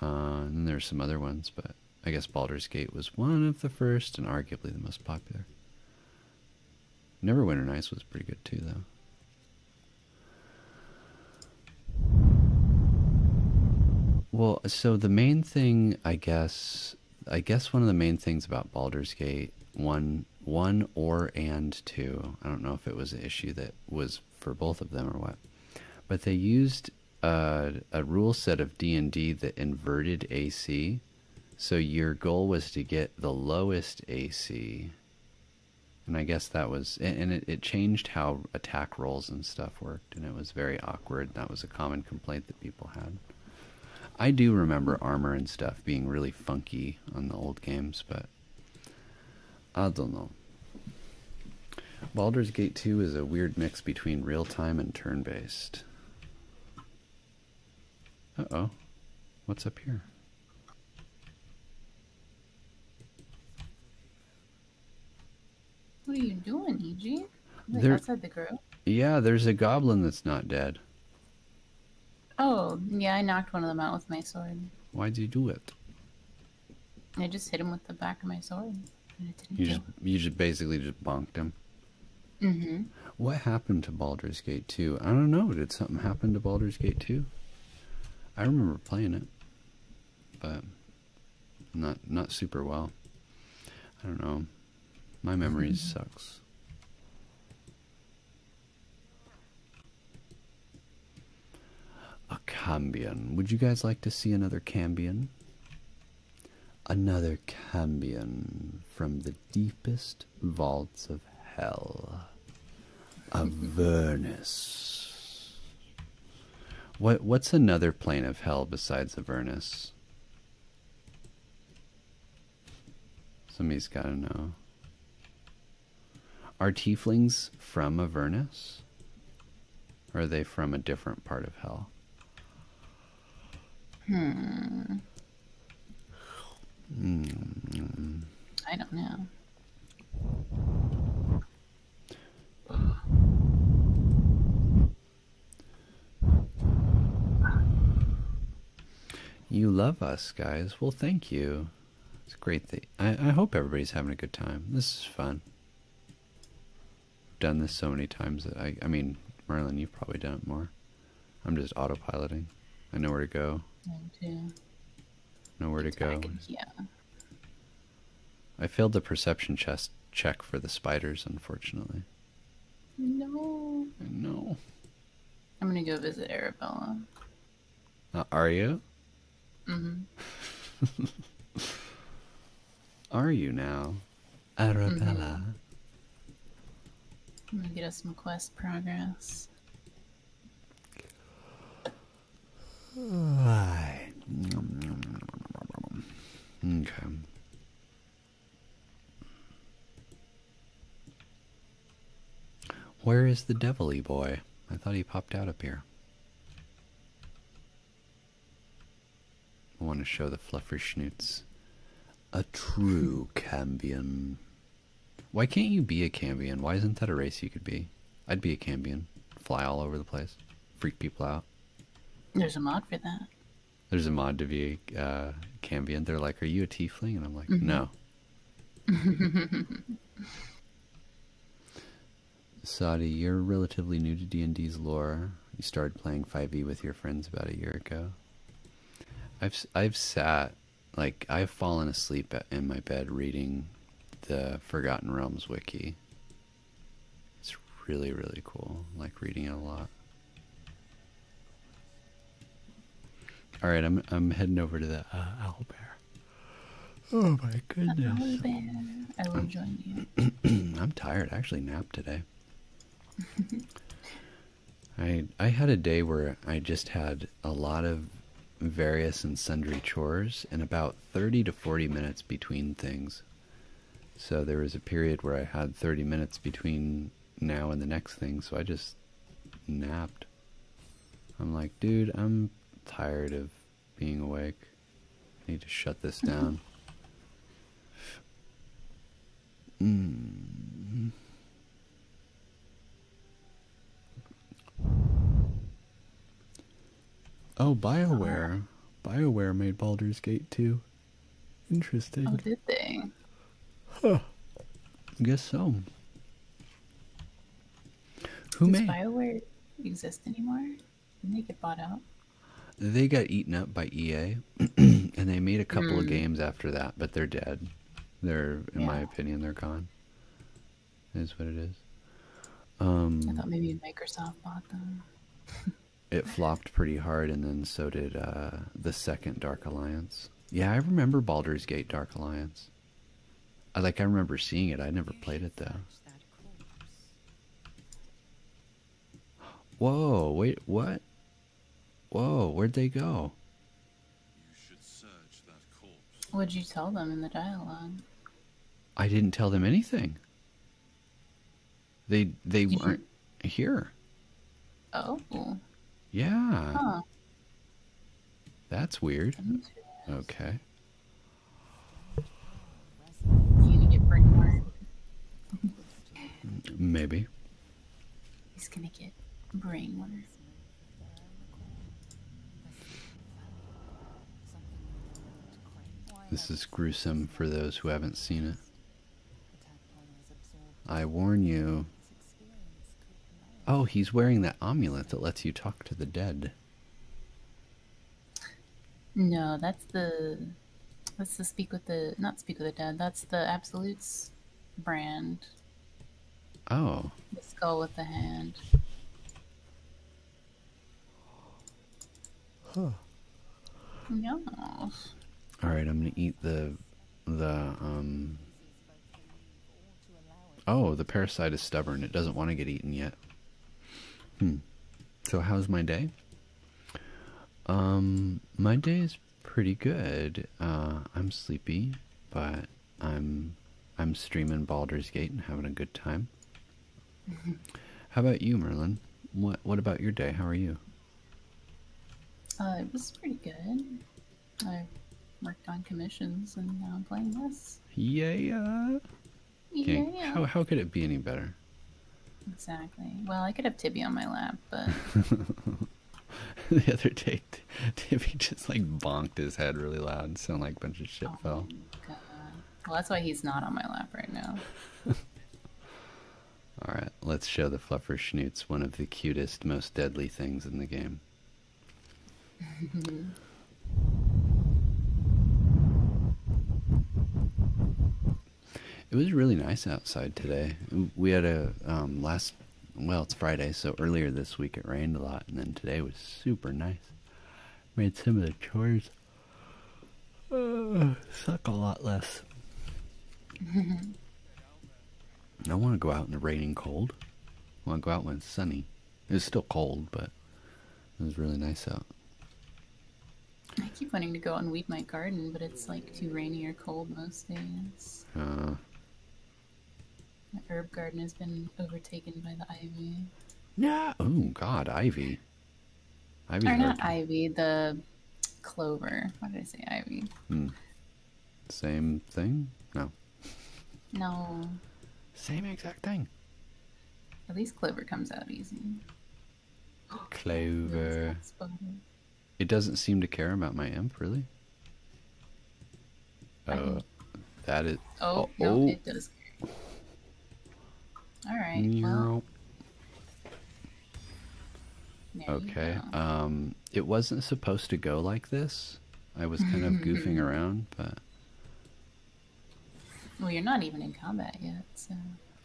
Speaker 1: Uh, and there's some other ones, but I guess Baldur's Gate was one of the first and arguably the most popular. Neverwinter Nights was pretty good too, though. Well, so the main thing, I guess, I guess one of the main things about Baldur's Gate one, one or and two. I don't know if it was an issue that was for both of them or what, but they used a, rule set of D&D that inverted AC. So your goal was to get the lowest AC. And I guess that was, and it, it changed how attack rolls and stuff worked, and it was very awkward. That was a common complaint that people had. I do remember armor and stuff being really funky on the old games, but I don't know. Baldur's Gate 2 is a weird mix between real time and turn based. Uh-oh. What's up here?
Speaker 2: What are you doing, EG? Like outside the group?
Speaker 1: Yeah, there's a goblin that's not dead.
Speaker 2: Oh, yeah, I knocked one of them out with my sword.
Speaker 1: Why'd you do it?
Speaker 2: I just hit him with the back of my sword.
Speaker 1: You just, you just basically just bonked him. Mm-hmm. What happened to Baldur's Gate 2? I don't know. Did something happen to Baldur's Gate 2? I remember playing it, but not not super well. I don't know. My memory mm-hmm. sucks. A Cambion. Would you guys like to see another Cambion? Another cambion from the deepest vaults of hell. Avernus. What what's another plane of hell besides Avernus? Somebody's gotta know. Are tieflings from Avernus? Or are they from a different part of hell?
Speaker 2: Hmm. Mm. I don't know.
Speaker 1: You love us, guys. Well, thank you. It's great. That I hope everybody's having a good time. This is fun done this so many times that I, I mean, Merlin, you've probably done it more. I'm just autopiloting. I know where to go. Know where to go. yeah. I failed the perception chest check for the spiders, unfortunately.
Speaker 2: No. No. I'm gonna go visit Arabella.
Speaker 1: Uh, are you?
Speaker 2: Mm-hmm.
Speaker 1: are you now? Arabella. Mm -hmm.
Speaker 2: I'm gonna get us some quest progress.
Speaker 1: Right. Okay. Where is the devilly boy? I thought he popped out up here. I want to show the fluffery schnoots. A true Cambion. Why can't you be a Cambion? Why isn't that a race you could be? I'd be a Cambion. Fly all over the place. Freak people out.
Speaker 2: There's a mod for that.
Speaker 1: There's a mod to be a uh, Cambion. They're like, are you a tiefling? And I'm like, mm-hmm. no. Sadi, you're relatively new to D&D's lore you started playing 5e with your friends about a year ago. I've I've sat like I've fallen asleep in my bed reading the Forgotten Realms wiki. It's really really cool. like reading it a lot. All right, I'm I'm heading over to the uh, owl bear. Oh my goodness! Owl bear, I I'm, join you. I'm tired. I actually napped today. I I had a day where I just had a lot of various and sundry chores and about 30 to 40 minutes between things. So there was a period where I had 30 minutes between now and the next thing, so I just napped. I'm like, dude, I'm tired of being awake. I need to shut this mm-hmm. down. Mm. Oh, BioWare. BioWare made Baldur's Gate too. Interesting. Oh,
Speaker 2: did they? I guess so. Who Does made? BioWare exist anymore? Didn't they get bought out?
Speaker 1: They got eaten up by EA, and they made a couple of mm. games after that, but they're dead. They're, in my opinion, they're gone. Is what it is. I um, thought
Speaker 2: maybe Microsoft bought them.
Speaker 1: it flopped pretty hard, and then so did uh, the second Dark Alliance. Yeah, I remember Baldur's Gate Dark Alliance. I like I remember seeing it. I never played it though. Whoa! Wait, what? Whoa, where'd they go?
Speaker 2: What'd you tell them in the dialogue?
Speaker 1: I didn't tell them anything. They they weren't here. Oh. Yeah. That's weird. Okay. Maybe.
Speaker 2: He's gonna get brainwashed.
Speaker 1: This is gruesome for those who haven't seen it. I warn you. Oh, he's wearing that amulet that lets you talk to the dead.
Speaker 2: No, that's the that's the Speak with the not Speak with the Dead. That's the Absolutes brand. Oh. The skull with the hand.
Speaker 1: Huh. All right, I'm gonna eat the the um. Oh, the parasite is stubborn. It doesn't want to get eaten yet. Hmm. So how's my day? Um, my day is pretty good. Uh, I'm sleepy, but I'm I'm streaming Baldur's Gate and having a good time. How about you, Merlin? What What about your day? How are you?
Speaker 2: Uh, it was pretty good. I worked on commissions and now I'm playing this.
Speaker 1: Yeah. Yeah. How How could it be any better?
Speaker 2: Exactly. Well, I could have Tibby on my lap, but
Speaker 1: the other day, Tibby just like bonked his head really loud, and so like a bunch of shit oh fell.
Speaker 2: Well, that's why he's not on my lap right now.
Speaker 1: All right, let's show the fluffer schnoots one of the cutest, most deadly things in the game. It was really nice outside today. We had a um, last, well, it's Friday, so earlier this week it rained a lot, and then today was super nice. Made some of the chores suck a lot less. I want to go out in the rain and cold. I want to go out when it's sunny. It's still cold, but it was really nice out.
Speaker 2: I keep wanting to go out and weed my garden, but it's like too rainy or cold most days. Uh. The herb garden has been overtaken by the ivy.
Speaker 1: Yeah. Oh God, ivy. Ivy's not
Speaker 2: ivy. The clover. What did I say ivy?
Speaker 1: Hmm. Same thing? No.
Speaker 2: No. Same exact thing. At least clover comes out easy.
Speaker 1: Clover. It doesn't seem to care about my imp, really. Uh, that is. Oh, oh, oh it does.
Speaker 2: All right.
Speaker 1: Okay. Um, it wasn't supposed to go like this. I was kind of goofing around, but.
Speaker 2: Well, you're not even in combat yet, so.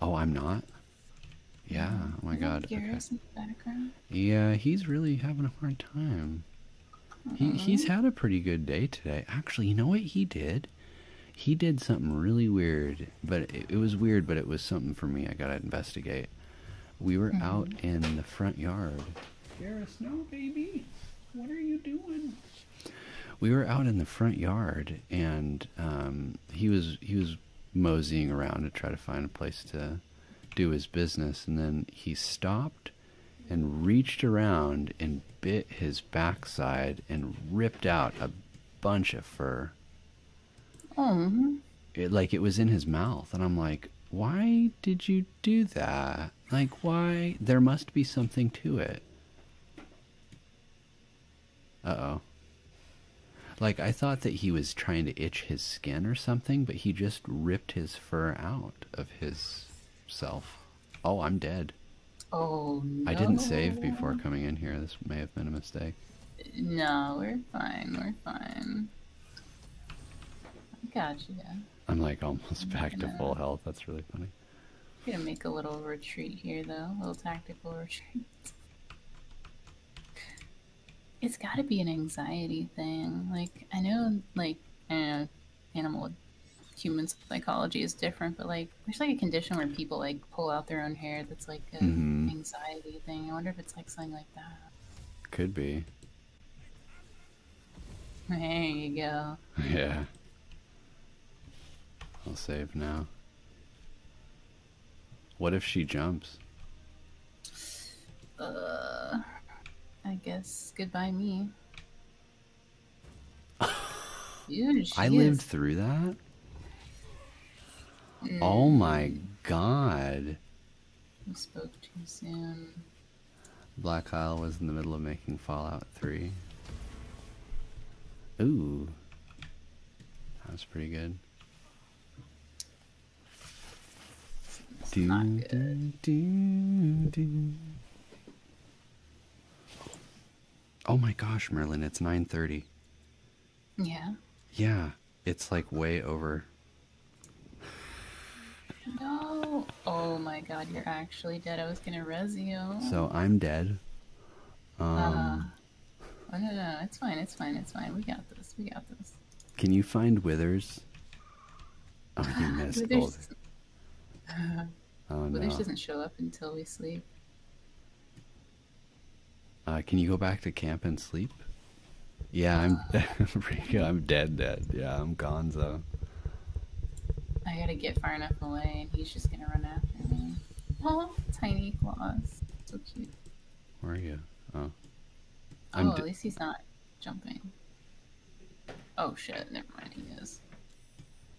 Speaker 1: Oh, I'm not. Yeah, oh my god. Yeah, he's really having a hard time. He he's had a pretty good day today. Actually, you know what he did? He did something really weird, but it, was weird, but it was something for me. I gotta investigate. We were mm-hmm. out in the front yard. you no, baby. What are you doing? We were out in the front yard, and um, he was he was moseying around to try to find a place to do his business. And then he stopped and reached around and bit his backside and ripped out a bunch of fur.
Speaker 2: Mm.
Speaker 1: It, like it was in his mouth. And I'm like, why did you do that? Like, why? There must be something to it. oh. Like, I thought that he was trying to itch his skin or something, but he just ripped his fur out of his self. Oh, I'm dead.
Speaker 2: Oh, no. I didn't save before
Speaker 1: coming in here. This may have been a mistake.
Speaker 2: No, we're fine. We're fine. I got you.
Speaker 1: I'm like almost back to full health. That's really funny.
Speaker 2: I'm gonna make a little retreat here, though. A little tactical retreat. It's got to be an anxiety thing. Like I know, like eh, animal humans psychology is different, but like there's like a condition where people like pull out their own hair that's like an mm-hmm. anxiety thing. I wonder if it's like something like that. Could be. There you go.
Speaker 1: Yeah. I'll save now. What if she jumps?
Speaker 2: Uh, I guess goodbye me. I lived
Speaker 1: through that. Oh mm. my god.
Speaker 2: We spoke too soon.
Speaker 1: Black Isle was in the middle of making Fallout 3. Ooh. that's pretty good. It's not good. Oh my gosh, Merlin, it's 9:30. Yeah. Yeah, it's like way over.
Speaker 2: No. Oh my god, you're actually dead. I was going to res you.
Speaker 1: So, I'm dead. Um uh,
Speaker 2: Oh, uh, no, no, no, it's fine. It's fine. It's fine. We got this. We got this.
Speaker 1: Can you find Withers? Oh, you ah, missed. Withers, uh, oh, Withers no. doesn't
Speaker 2: show up until we sleep.
Speaker 1: Uh, can you go back to camp and sleep? Yeah, I'm uh. I'm dead dead. Yeah, I'm gonzo.
Speaker 2: I gotta get far enough away and he's just gonna run after me. Oh, tiny claws. So cute.
Speaker 1: Where are you? Oh. oh, at
Speaker 2: least he's not jumping. Oh shit, never mind, he is.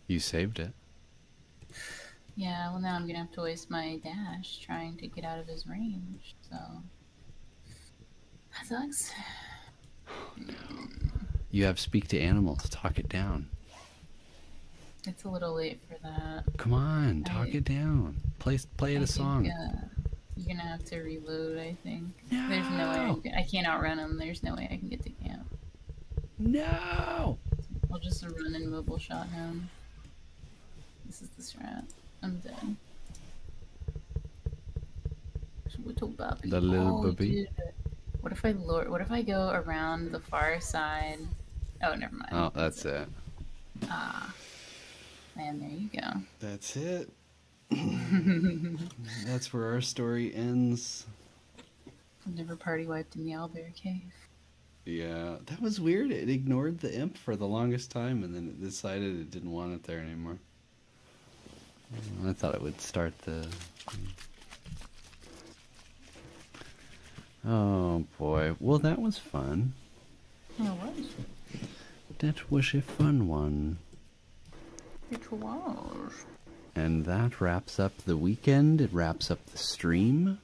Speaker 1: You saved it.
Speaker 2: Yeah, well now I'm gonna have to waste my dash trying to get out of his range, so that sucks.
Speaker 1: You have speak to animal to talk it down.
Speaker 2: It's a little late for that.
Speaker 1: Come on, talk it down. Play play it a song.
Speaker 2: Think, you're gonna have to reload, I think. There's no way I, can, not outrun them. There's no way I can get to camp. No. I'll just run and mobile shot him. This is the strat. I'm dead. Little puppy. The little oh, puppy. What if I What if I go around the far side? Oh, never mind. Oh, that's, it. Ah, and there you go.
Speaker 1: That's it. That's where our story ends.
Speaker 2: Never party wiped in the owlbear cave.
Speaker 1: Yeah, that was weird. It ignored the imp for the longest time, and then it decided it didn't want it there anymore. I thought it would start the. Oh boy! Well, that was fun. It was. That was a fun one.
Speaker 2: It was.
Speaker 1: And that wraps up the weekend. It wraps up the stream.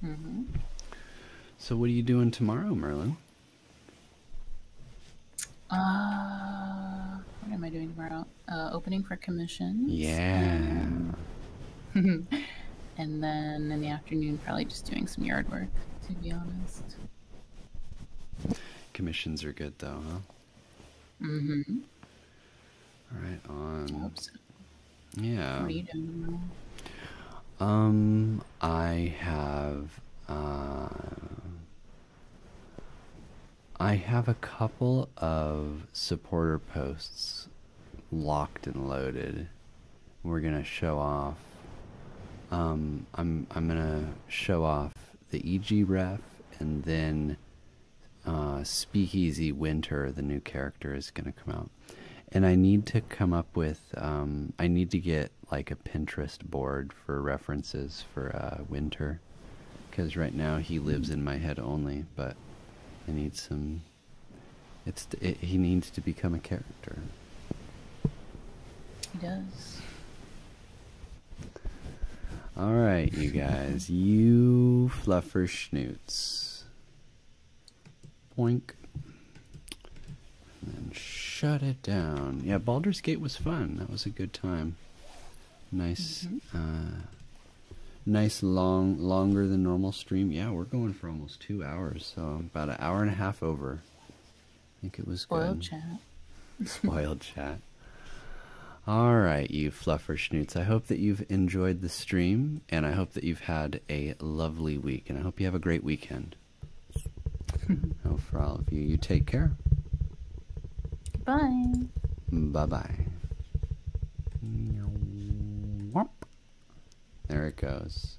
Speaker 1: hmm So what are you doing tomorrow, Merlin?
Speaker 2: Uh, what am I doing tomorrow? Uh, opening for commission. Yeah. Um, and then in the afternoon, probably just doing some yard work, to be honest.
Speaker 1: Commissions are good though, huh? Mm-hmm. All right, on. Yeah. What are you doing? Um, I have uh, I have a couple of supporter posts locked and loaded we're gonna show off. Um, I'm I'm gonna show off the EG ref, and then uh, Speakeasy Winter, the new character, is gonna come out. And I need to come up with. Um, I need to get like a Pinterest board for references for uh, Winter, because right now he lives in my head only. But I need some. It's he needs to become a character.
Speaker 2: He does.
Speaker 1: All right, you guys. you fluffer schnoots. Boink. And shut it down. Yeah, Baldur's Gate was fun. That was a good time. Nice, mm-hmm. uh, nice long, longer than normal stream. Yeah, we're going for almost two hours, so about an hour and a half over. I think it was Spoiled good. Spoiled chat. Spoiled chat. All right, you fluffer schnoots. I hope that you've enjoyed the stream, and I hope that you've had a lovely week, and I hope you have a great weekend. oh, for all of you, you take care. Bye. Bye bye. There it goes.